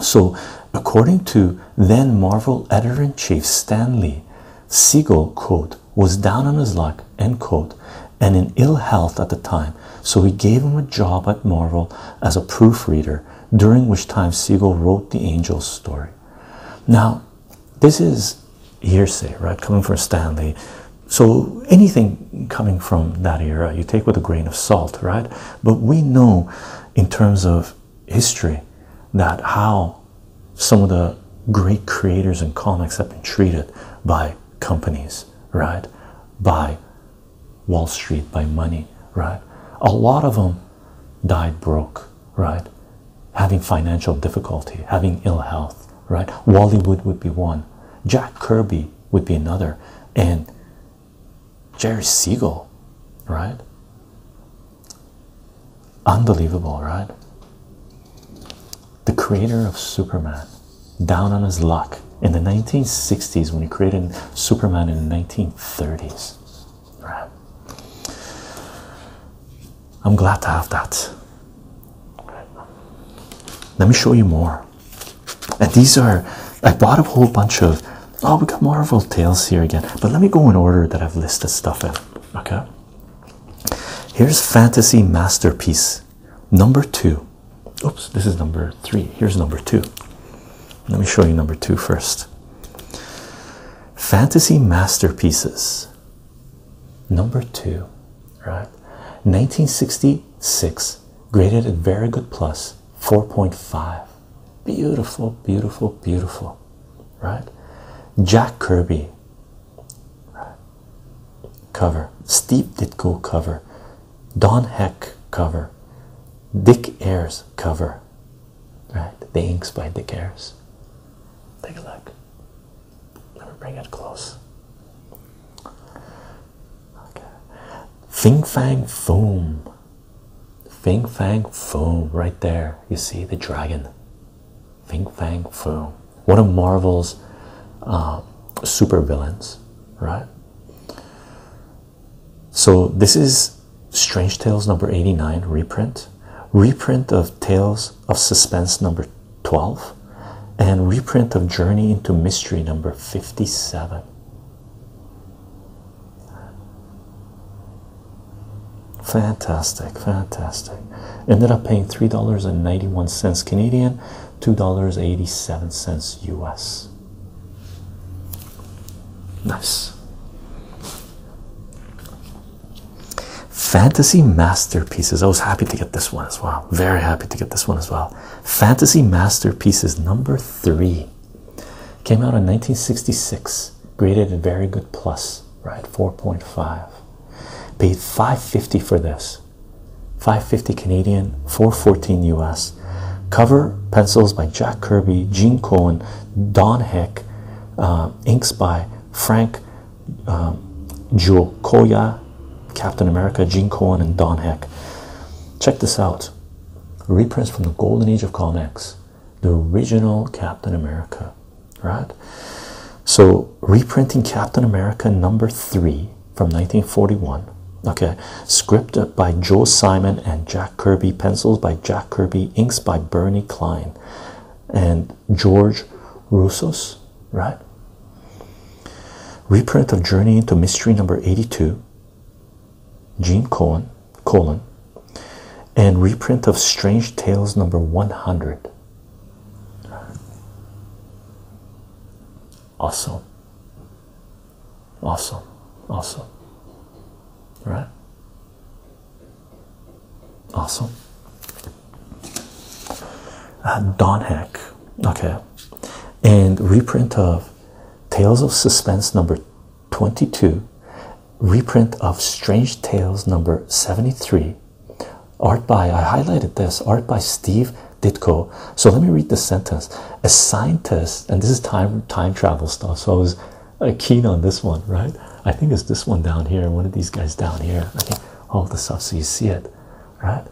So, according to then Marvel editor in chief Stan Lee, Siegel quote was down on his luck end quote and in ill health at the time, so he gave him a job at Marvel as a proofreader, during which time Siegel wrote the Angels story. Now, this is hearsay, right? Coming from Stanley. So anything coming from that era, you take with a grain of salt, right? But we know in terms of history that how some of the great creators and comics have been treated by companies, right? By Wall Street, by money, right? A lot of them died broke, right? having financial difficulty, having ill health, right? Wally Wood would be one, Jack Kirby would be another, and Jerry Siegel, right? Unbelievable, right? The creator of Superman, down on his luck in the 1960s when he created Superman in the 1930s, right? I'm glad to have that. Let me show you more. And these are, I bought a whole bunch of, oh, we got Marvel Tales here again. But let me go in order that I've listed stuff in. Okay. Here's Fantasy Masterpiece number two. Oops, this is number three. Here's number two. Let me show you number two first. Fantasy Masterpieces number two, right? 1966 graded at very good plus 4.5. Beautiful, beautiful, beautiful, right? Jack Kirby cover, Steve Ditko cover, Don Heck cover, Dick Ayers cover, right? The inks by Dick Ayers. Take a look. Let me bring it close. Okay. Fing Fang Foom, Fing Fang Foom, right there. You see the dragon. Fing Fang Foom, One of Marvel's uh, super villains, right? So this is Strange Tales number 89 reprint reprint of Tales of Suspense number 12, and reprint of Journey into Mystery number 57. Fantastic, fantastic. Ended up paying $3.91 Canadian, $2.87 US. Nice. Fantasy Masterpieces. I was happy to get this one as well. Very happy to get this one as well. Fantasy Masterpieces number three came out in 1966, graded a very good plus, right? 4.5. Paid 550 for this. 550 Canadian, 414 US. Cover pencils by Jack Kirby, Gene Cohen, Don Heck, uh, inks by Frank um, Joe Koya, Captain America, Gene Cohen, and Don Heck. Check this out reprints from the golden age of comics, the original Captain America, right? So, reprinting Captain America number three from 1941. Okay, script by Joe Simon and Jack Kirby, pencils by Jack Kirby, inks by Bernie Klein, and George Russo's, right? Reprint of Journey into Mystery number 82, Gene Cohen, colon, and reprint of Strange Tales number 100. Awesome, awesome, awesome, right? Awesome. Uh, Don Heck. Okay. And reprint of Tales of Suspense number 22, reprint of Strange Tales number 73. Art by, I highlighted this, art by Steve Ditko. So let me read this sentence. A scientist, and this is time time travel stuff, so I was uh, keen on this one, right? I think it's this one down here, one of these guys down here all the stuff so you see it right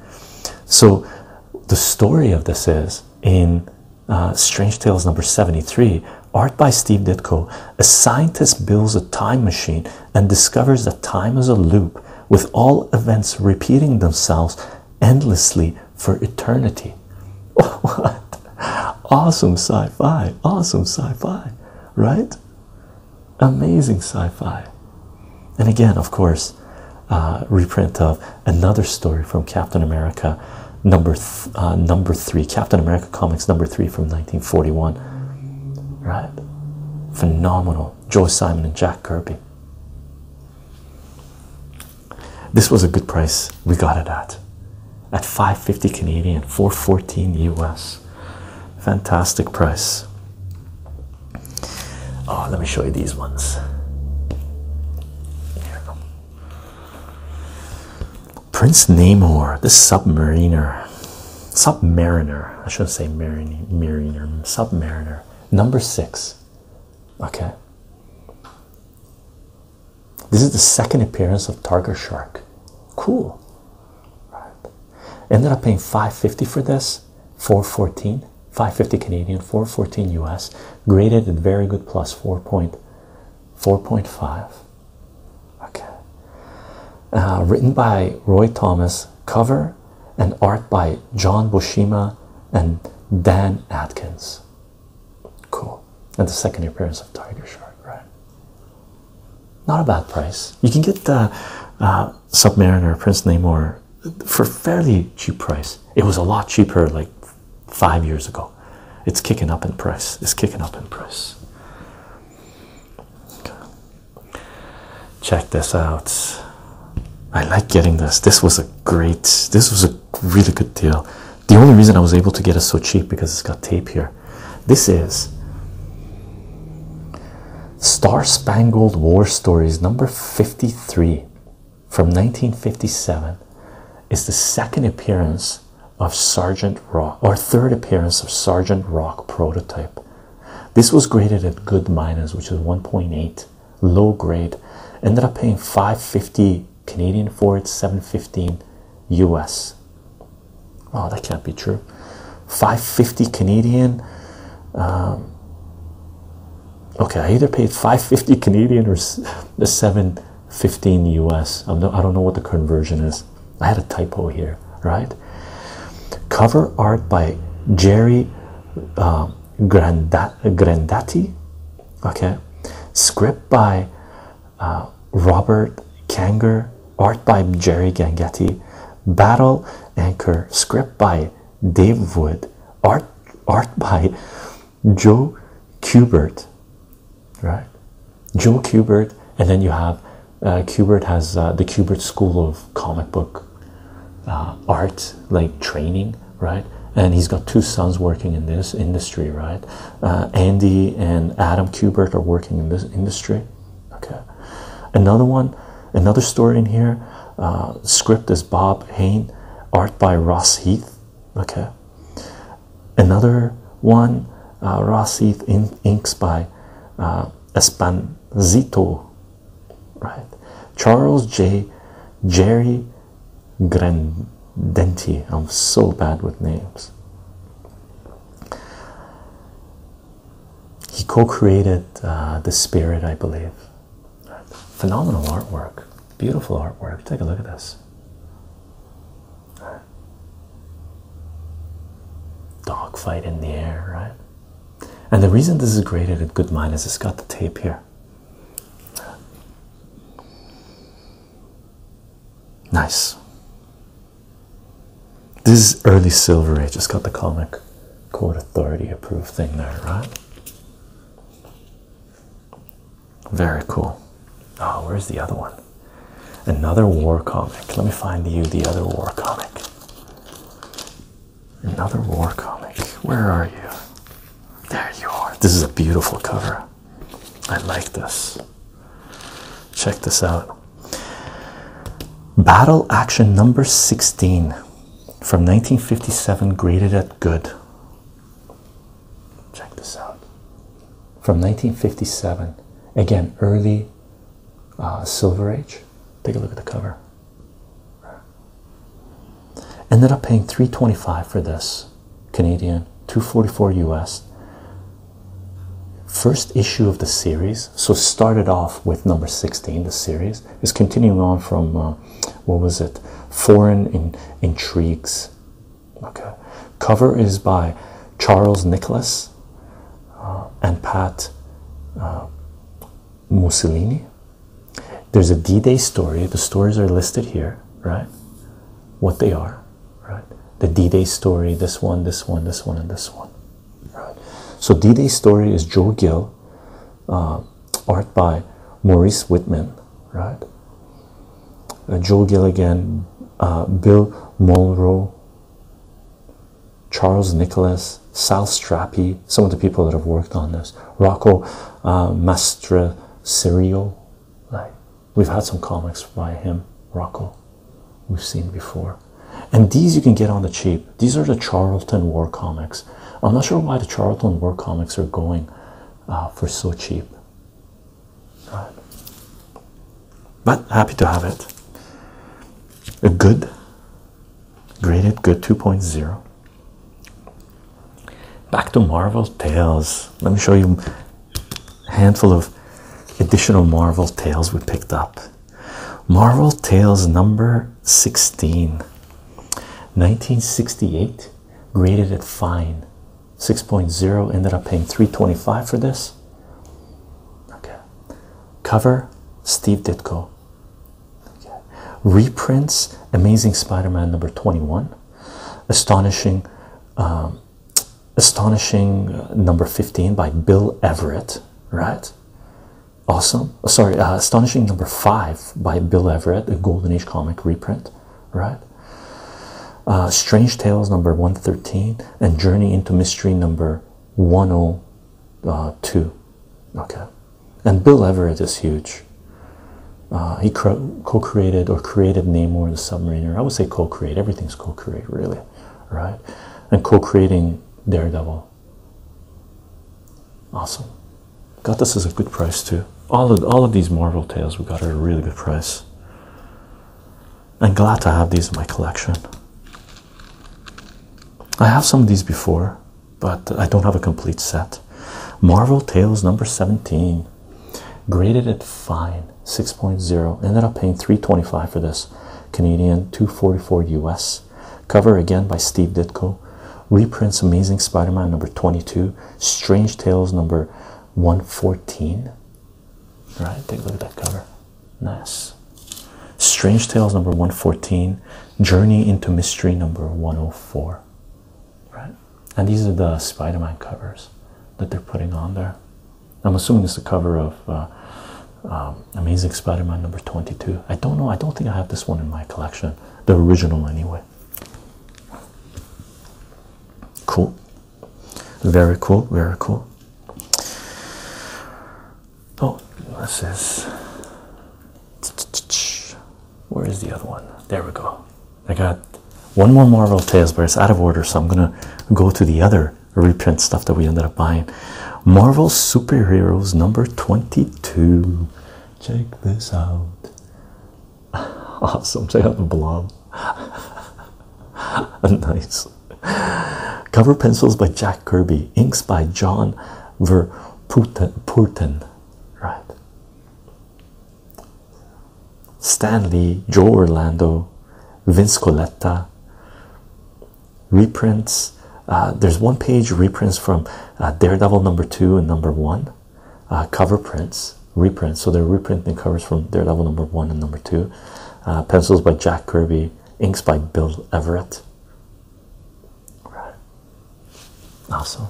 so the story of this is in uh, strange tales number 73 art by steve ditko a scientist builds a time machine and discovers that time is a loop with all events repeating themselves endlessly for eternity *laughs* what awesome sci-fi awesome sci-fi right Amazing sci fi. And again, of course, uh, reprint of another story from Captain America number uh, number three Captain America comics number three from 1941 right phenomenal Joe Simon and Jack Kirby this was a good price we got it at at 550 Canadian 414 US Fantastic price. Oh, let me show you these ones. Prince Namor, the submariner, submariner. I shouldn't say mariner, mariner, submariner. Number six. Okay. This is the second appearance of Targa Shark. Cool right ended up paying 550 for this 414 550 canadian 414 us graded at very good plus 4.4.5 okay uh, written by roy thomas cover and art by john bushima and dan atkins cool and the second appearance of tiger shark right not a bad price. You can get the uh, Submariner Prince Namor for fairly cheap price. It was a lot cheaper like five years ago. It's kicking up in price. It's kicking up in price. Check this out. I like getting this. This was a great. This was a really good deal. The only reason I was able to get it so cheap because it's got tape here. This is Star Spangled War Stories, number 53 from 1957, is the second appearance of Sergeant Rock, or third appearance of Sergeant Rock prototype. This was graded at good minus, which is 1.8, low grade. Ended up paying 550 Canadian for it, 715 US. Oh, that can't be true. 550 Canadian. Um, okay, I either paid 550 *laughs* Canadian or the 715 US. i don't know what the conversion is. I had a typo here, right? Cover art by Jerry uh, Grandati. Okay, script by uh, Robert Kanger, art by Jerry Gangetti, Battle Anchor, script by Dave Wood, art art by Joe Kubert, right? Joe Kubert, and then you have uh, Kubert has uh, the Kubert School of Comic Book uh, Art, like training, right? And he's got two sons working in this industry, right? Uh, Andy and Adam Kubert are working in this industry, okay another one another story in here uh, script is bob hain art by ross heath okay another one uh, ross heath in inks by uh, espanzito right charles j jerry grandenti i'm so bad with names he co created uh, The Spirit, I believe. Phenomenal artwork, beautiful artwork. Take a look at this. Dogfight in the air, right? And the reason this is graded at good minus is it's got the tape here. Nice. This is early Silver Age. Just got the Comic Court Authority approved thing there, right? Very cool. Oh, where's the other one? Another war comic. Let me find you the other war comic. Another war comic. Where are you? There you are. This is a beautiful cover. I like this. Check this out. Battle Action Number 16 from 1957, graded at good. Check this out. From 1957, again, early uh, Silver Age. Take a look at the cover. Ended up paying 325 for this Canadian, 244 US first issue of the series. So started off with number 16, the series is continuing on from uh, what was it? Foreign in intrigues. Okay. Cover is by Charles Nicholas uh, and Pat uh, Mussolini. There's a D-Day story. The stories are listed here, right? What they are, right? The D-Day story, this one, this one, this one, and this one. Right. So D Day story is Joe Gill, uh, art by Maurice Whitman. Right. Joe Gill again, uh, Bill Monroe, Charles Nicholas, Sal Strappi, some of the people that have worked on this, Rocco uh, Mastre Serio. Right. We've had some comics by him, Rocco, we've seen before. And these you can get on the cheap. These are the Charlton War comics. I'm not sure why the Charlton War comics are going uh, for so cheap. But happy to have it. A good, graded good 2.0. Back to Marvel Tales. Let me show you a handful of additional Marvel Tales we picked up. Marvel Tales number 16, 1968, graded at fine 6.0, ended up paying 325 for this. Okay. Cover Steve Ditko. Reprints Amazing Spider Man number 21, Astonishing. Um, Astonishing uh, number 15 by Bill Everett, right? awesome sorry uh, astonishing number five by bill everett a golden age comic reprint right uh, strange tales number 113 and journey into mystery number 102 okay and bill everett is huge uh, he co-created or created namor the submariner i would say co-create everything's co-create really right and co-creating daredevil Awesome. Got this as a good price too. All of all of these Marvel tales we got at a really good price. I'm glad to have these in my collection. I have some of these before, but I don't have a complete set. Marvel Tales number 17. Graded at fine 6.0. Ended up paying 325 for this. Canadian 244 US. Cover again by Steve Ditko. Reprints Amazing Spider Man number 22, Strange Tales number 114. Right, take a look at that cover. Nice. Strange Tales number 114, Journey into Mystery number 104. Right, and these are the Spider Man covers that they're putting on there. I'm assuming it's the cover of uh, um, Amazing Spider-Man number 22. I don't know. I don't think I have this one in my collection. The original anyway. Cool. Very cool. Very cool. Oh, this is. Where is the other one? There we go. I got one more Marvel Tales, but it's out of order, so I'm gonna go to the other reprint stuff that we ended up buying. Marvel Superheroes number 22. Check this out. *laughs* Awesome. Check out the blob. *laughs* nice. Cover pencils by Jack Kirby, inks by John Verputten. Right. Stanley, Joe Orlando, Vince Coletta, reprints. Uh, there's one page reprints from uh, Daredevil number two and number one, uh, cover prints, reprints. So they're reprinting covers from Daredevil number one and number two. pencils by Jack Kirby, inks by Bill Everett. Right. Awesome.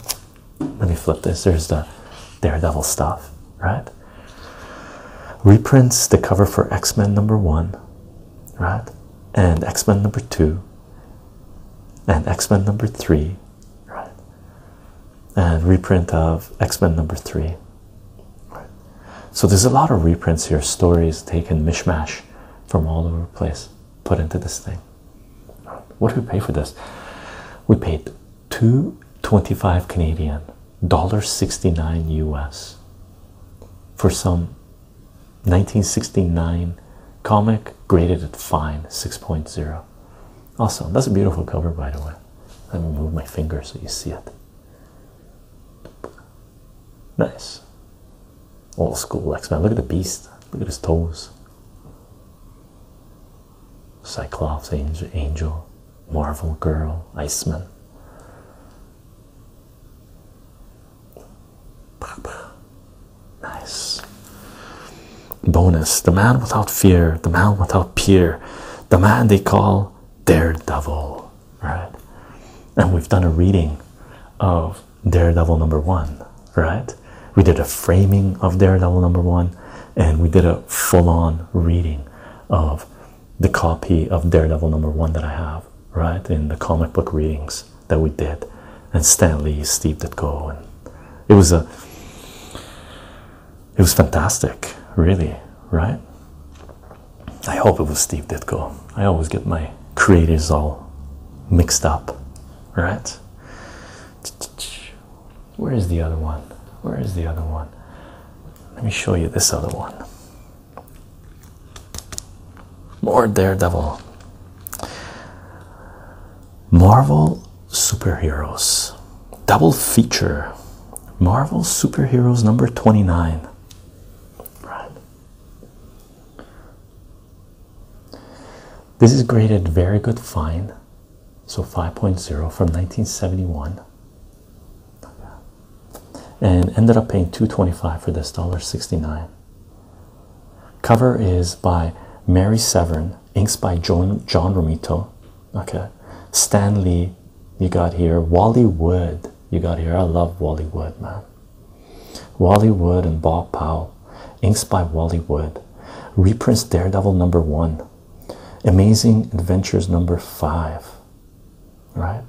Let me flip this. There's the Daredevil stuff, right? Reprints the cover for X Men number one, right? And X Men number two, and X-Men number three, right? And reprint of X-Men number three. Right. So there's a lot of reprints here, stories taken mishmash from all over place, put into this thing. What do we pay for this? We paid two twenty-five Canadian, dollar sixty-nine US for some 1969 comic graded at fine 6.0 awesome that's a beautiful cover by the way let me move my finger so you see it nice old school x-men look at the beast look at his toes cyclops angel angel marvel girl iceman Nice. Bonus The Man Without Fear, The Man Without Peer, The Man They Call Daredevil. Right? And we've done a reading of Daredevil number one, right? We did a framing of Daredevil number one, and we did a full on reading of the copy of Daredevil number one that I have, right? In the comic book readings that we did, and Stan Lee, Steve Ditko, and it was a it was fantastic, really, right? I hope it was Steve Ditko. I always get my creators all mixed up, right? Where is the other one? Where is the other one? Let me show you this other one. More Daredevil. Marvel Superheroes. Double feature. Marvel Superheroes number 29. Right. This is graded very good fine. So 5.0 from 1971. And ended up paying 225 for this dollar 69. Cover is by Mary Severn, inks by John, Romito. Okay, Lee, you got here. Wally Wood, you got here. I love Wally Wood, man. Wally Wood and Bob Powell, inks by Wally Wood. Reprints Daredevil number one, Amazing Adventures number five, right?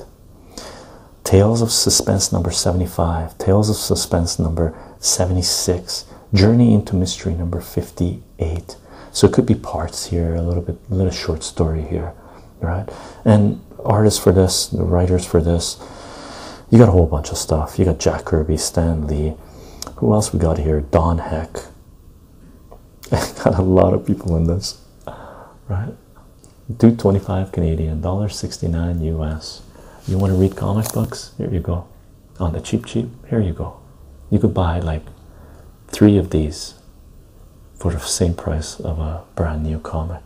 Tales of Suspense number 75, Tales of Suspense number 76, Journey into Mystery number 58. So it could be parts here, a little bit, a little short story here, right? And artists for this, the writers for this, you got a whole bunch of stuff. You got Jack Kirby, Stan Lee. Who else we got here? Don Heck. I *laughs* got a lot of people in this, right? 225 Canadian, $1.69 US. You want to read comic books? Here you go. On the cheap cheap, here you go. You could buy like three of these for the same price of a brand new comic.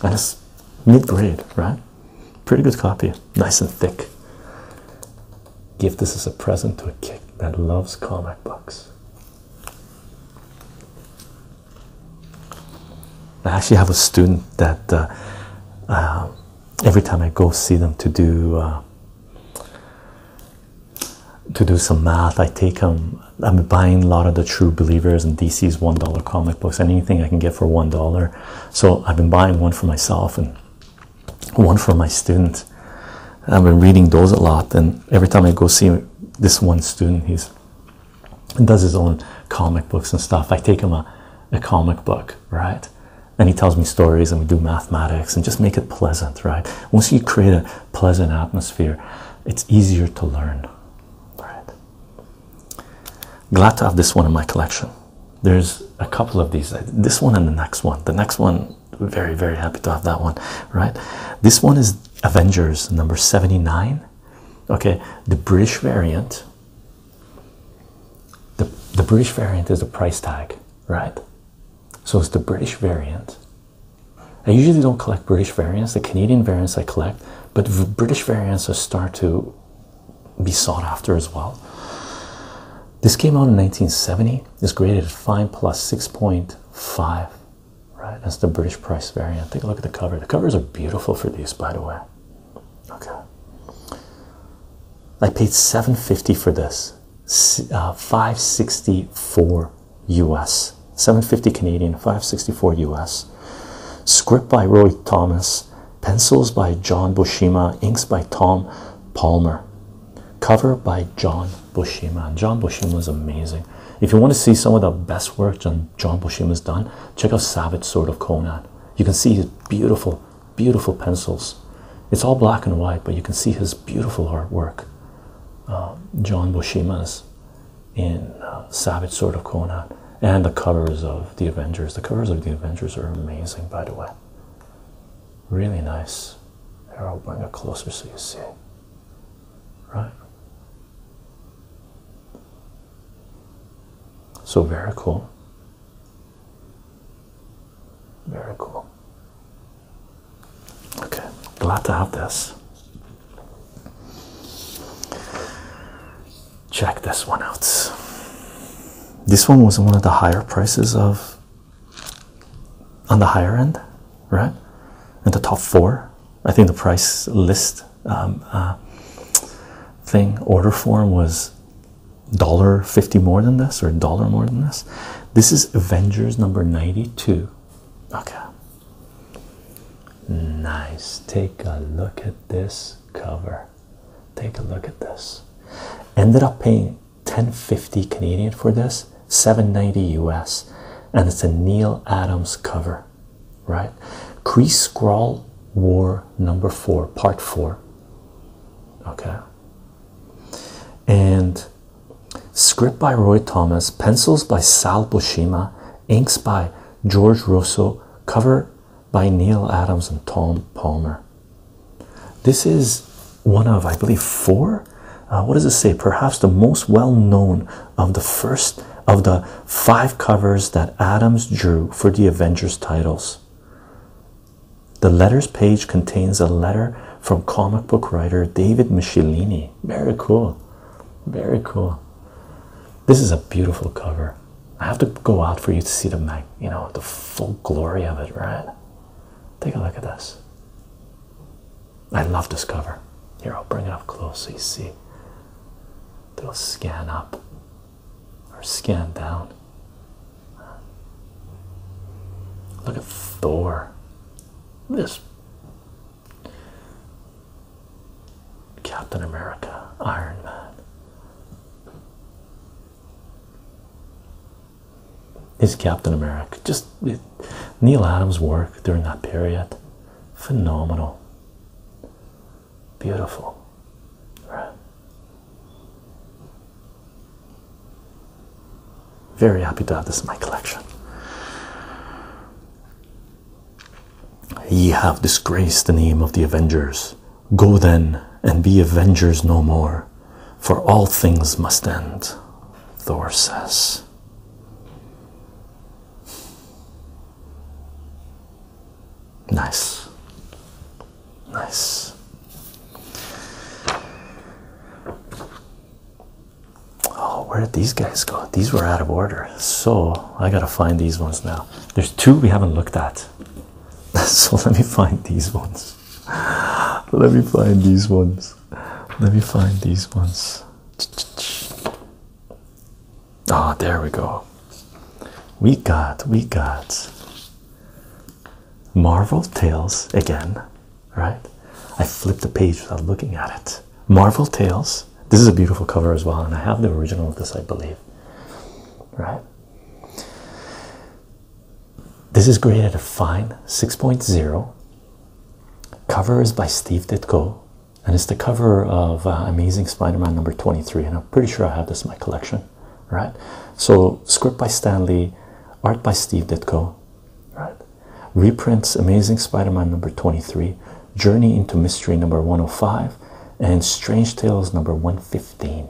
And it's mid grade, right? Pretty good copy, nice and thick. Give this as a present to a kid that loves comic books. I actually have a student that uh, uh, every time I go see them to do uh, to do some math, I take them. I'm buying a lot of the True Believers and DC's one dollar comic books, anything I can get for one dollar. So I've been buying one for myself and one from my student. I've been reading those a lot, and every time I go see this one student, he does his own comic books and stuff. I take him a, a comic book, right? And he tells me stories, and we do mathematics, and just make it pleasant, right? Once you create a pleasant atmosphere, it's easier to learn. Right? Glad to have this one in my collection. There's a couple of these. This one and the next one. The next one very very happy to have that one right this one is avengers number 79 okay the british variant the, the british variant is the price tag right so it's the british variant i usually don't collect british variants the canadian variants i collect but british variants are start to be sought after as well this came out in 1970. This graded at 5 plus 6.5. Right, that's the British price variant. Take a look at the cover. The covers are beautiful for these, by the way. Okay. I paid 750 for this. Uh, 564 US. 750 Canadian, 564 US. Script by Roy Thomas. Pencils by John Bushima. Inks by Tom Palmer. Cover by John Bushy, man. John Buscema is amazing. If you want to see some of the best work John, John Buscema has done, check out Savage Sword of Conan. You can see his beautiful, beautiful pencils. It's all black and white, but you can see his beautiful artwork. Uh, John Buscema's in uh, Savage Sword of Conan and the covers of the Avengers. The covers of the Avengers are amazing, by the way. Really nice. Here, I'll bring it closer so you see. Right? So very cool. Very cool. Okay, glad to have this. Check this one out. This one was one of the higher prices of on the higher end, right? In the top four, I think the price list um, uh, thing order form was dollar fifty more than this or dollar more than this. This is Avengers number ninety-two. Okay, nice. Take a look at this cover. Take a look at this. Ended up paying 1050 Canadian for this, 790 US, and it's a Neil Adams cover, right? Crease Scrawl War number four, part four. Okay. And script by Roy Thomas, pencils by Sal Bushima, inks by George Russo, cover by Neil Adams and Tom Palmer. This is one of, I believe, four. Uh, what does it say? Perhaps the most well known of the first of the five covers that Adams drew for the Avengers titles. The letters page contains a letter from comic book writer David Michelinie. Very cool. Very cool. This is a beautiful cover. I have to go out for you to see the mag, you know, the full glory of it, right? Take a look at this. I love this cover. Here, I'll bring it up close so you see. It'll scan up or scan down. Look at Thor. This Captain America, Iron Man is Captain America. Just Neil Adams' work during that period, phenomenal, beautiful, Very happy to have this in my collection. Ye have disgraced the name of the Avengers. Go then and be Avengers no more for all things must end, Thor says. Nice. Nice. Oh, where did these guys go? These were out of order. So I gotta find these ones now. There's two we haven't looked at. *laughs* So let me find these ones. Let me find these ones. Let me find these ones. Ah, there we go. We got, we got Marvel Tales again, right? I flipped the page without looking at it. Marvel Tales. This is a beautiful cover as well, and I have the original of this, I believe. Right? This is graded a fine 6.0. Cover is by Steve Ditko, and it's the cover of uh, Amazing Spider-Man number 23. And I'm pretty sure I have this in my collection, right? So script by Stan Lee, art by Steve Ditko, right? Reprints Amazing Spider-Man number 23, Journey into Mystery number 105, and Strange Tales number 115.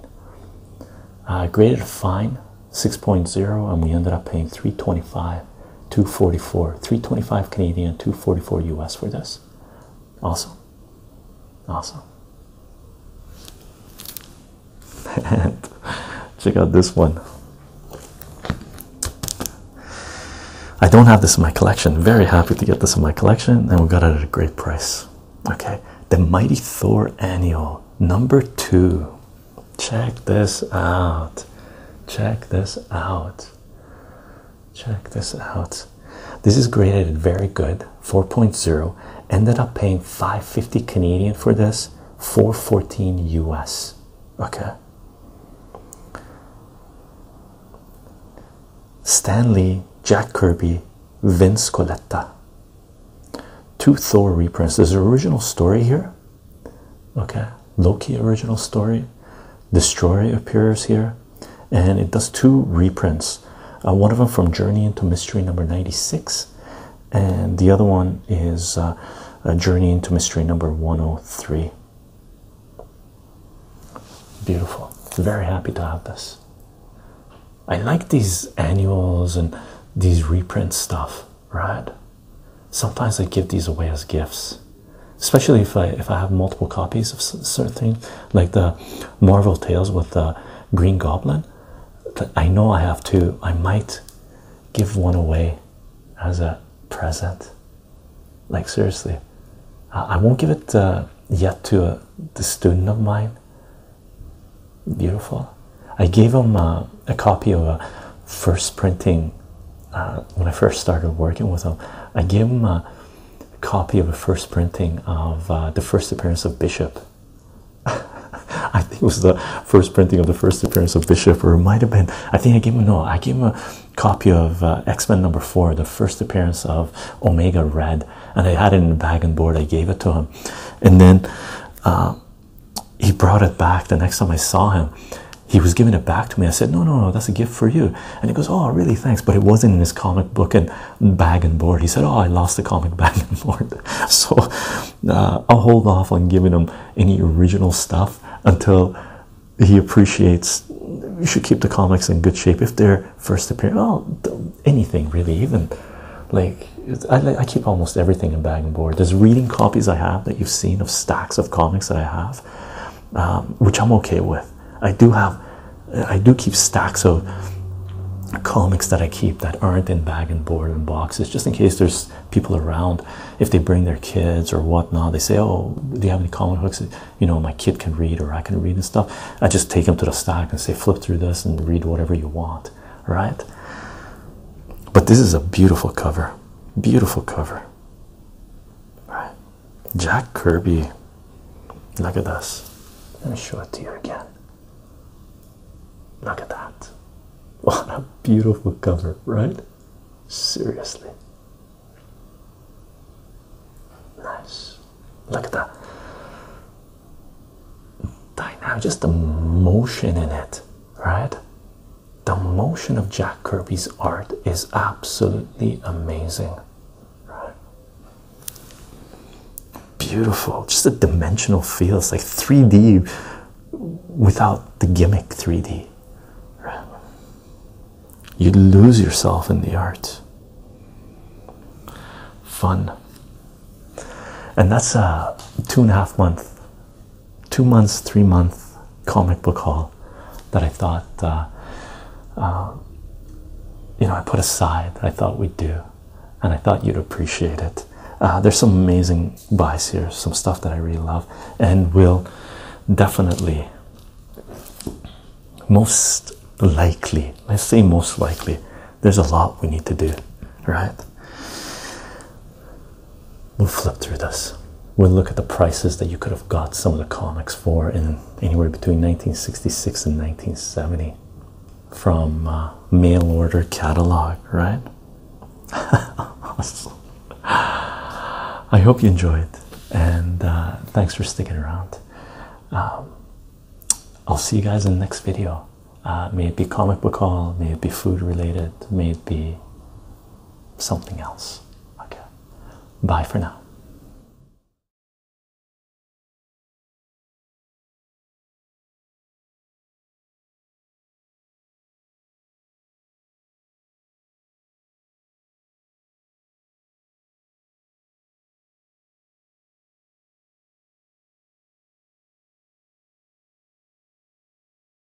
Uh, graded fine 6.0 and we ended up paying 325 244 325 canadian 244 us for this awesome awesome and check out this one i don't have this in my collection very happy to get this in my collection and we got it at a great price okay the mighty thor annual number two Check this out. Check this out. Check this out. This is graded very good. 4.0. Ended up paying 550 Canadian for this. 414 US. Okay. Stanley, Jack Kirby, Vince Coletta. Two Thor reprints. There's an original story here okay loki original story destroy appears here and it does two reprints uh, one of them from journey into mystery number 96 and the other one is a uh, uh, journey into mystery number 103 beautiful very happy to have this i like these annuals and these reprint stuff right? Sometimes I give these away as gifts, especially if I if I have multiple copies of certain things, like the Marvel Tales with the Green Goblin. I know I have two. I might give one away as a present. Like seriously, I won't give it uh, yet to a, uh, the student of mine. Beautiful. I gave him a copy of a first printing uh, when I first started working with him. I gave him a copy of a first printing of uh, the first appearance of Bishop. *laughs* I think it was the first printing of the first appearance of Bishop, or it might have been. I think I gave him no. I gave him a copy of uh, X Men number four, the first appearance of Omega Red, and I had it in a bag and board. I gave it to him, and then he brought it back the next time I saw him. He was giving it back to me. I said, No, no, no, that's a gift for you. And he goes, Oh, really? Thanks. But it wasn't in his comic book and bag and board. He said, Oh, I lost the comic *laughs* bag and board. *laughs* So uh, I'll hold off on giving him any original stuff until he appreciates. You should keep the comics in good shape if they're first appearing. Oh, anything really, even like I keep almost everything in bag and board. There's reading copies I have that you've seen of stacks of comics that I have, um, which I'm okay with. I do have, I do keep stacks of comics that I keep that aren't in bag and board and boxes, just in case there's people around. If they bring their kids or whatnot, they say, "Oh, do you have any comic books? You know, my kid can read or I can read and stuff." I just take them to the stack and say, "Flip through this and read whatever you want." Right? But this is a beautiful cover. Beautiful cover. Right. Jack Kirby. Look at this. Let me show it to you again. Look at that. *laughs* What a beautiful cover, right? Seriously. Nice. Look at that. Dynamic, just the motion in it, right? the motion of Jack Kirby's art is absolutely amazing. Right? Beautiful, just a dimensional feel. It's like 3D without the gimmick 3D. Right? you lose yourself in the art. Fun. And that's a two and a half month two months, three month comic book haul that I thought, uh, uh, you know, I put aside that I thought we'd do, and I thought you'd appreciate it. Uh, there's some amazing buys here, some stuff that I really love, and will definitely, most likely, let's say most likely, there's a lot we need to do, right? We'll flip through this. We'll look at the prices that you could have got some of the comics for in anywhere between 1966 and 1970 from uh, mail order catalog, right? *laughs* I hope you enjoyed, and uh, thanks for sticking around. Um, I'll see you guys in the next video. Uh, may it be comic book haul, may it be food related, may it be something else. Okay, bye for now.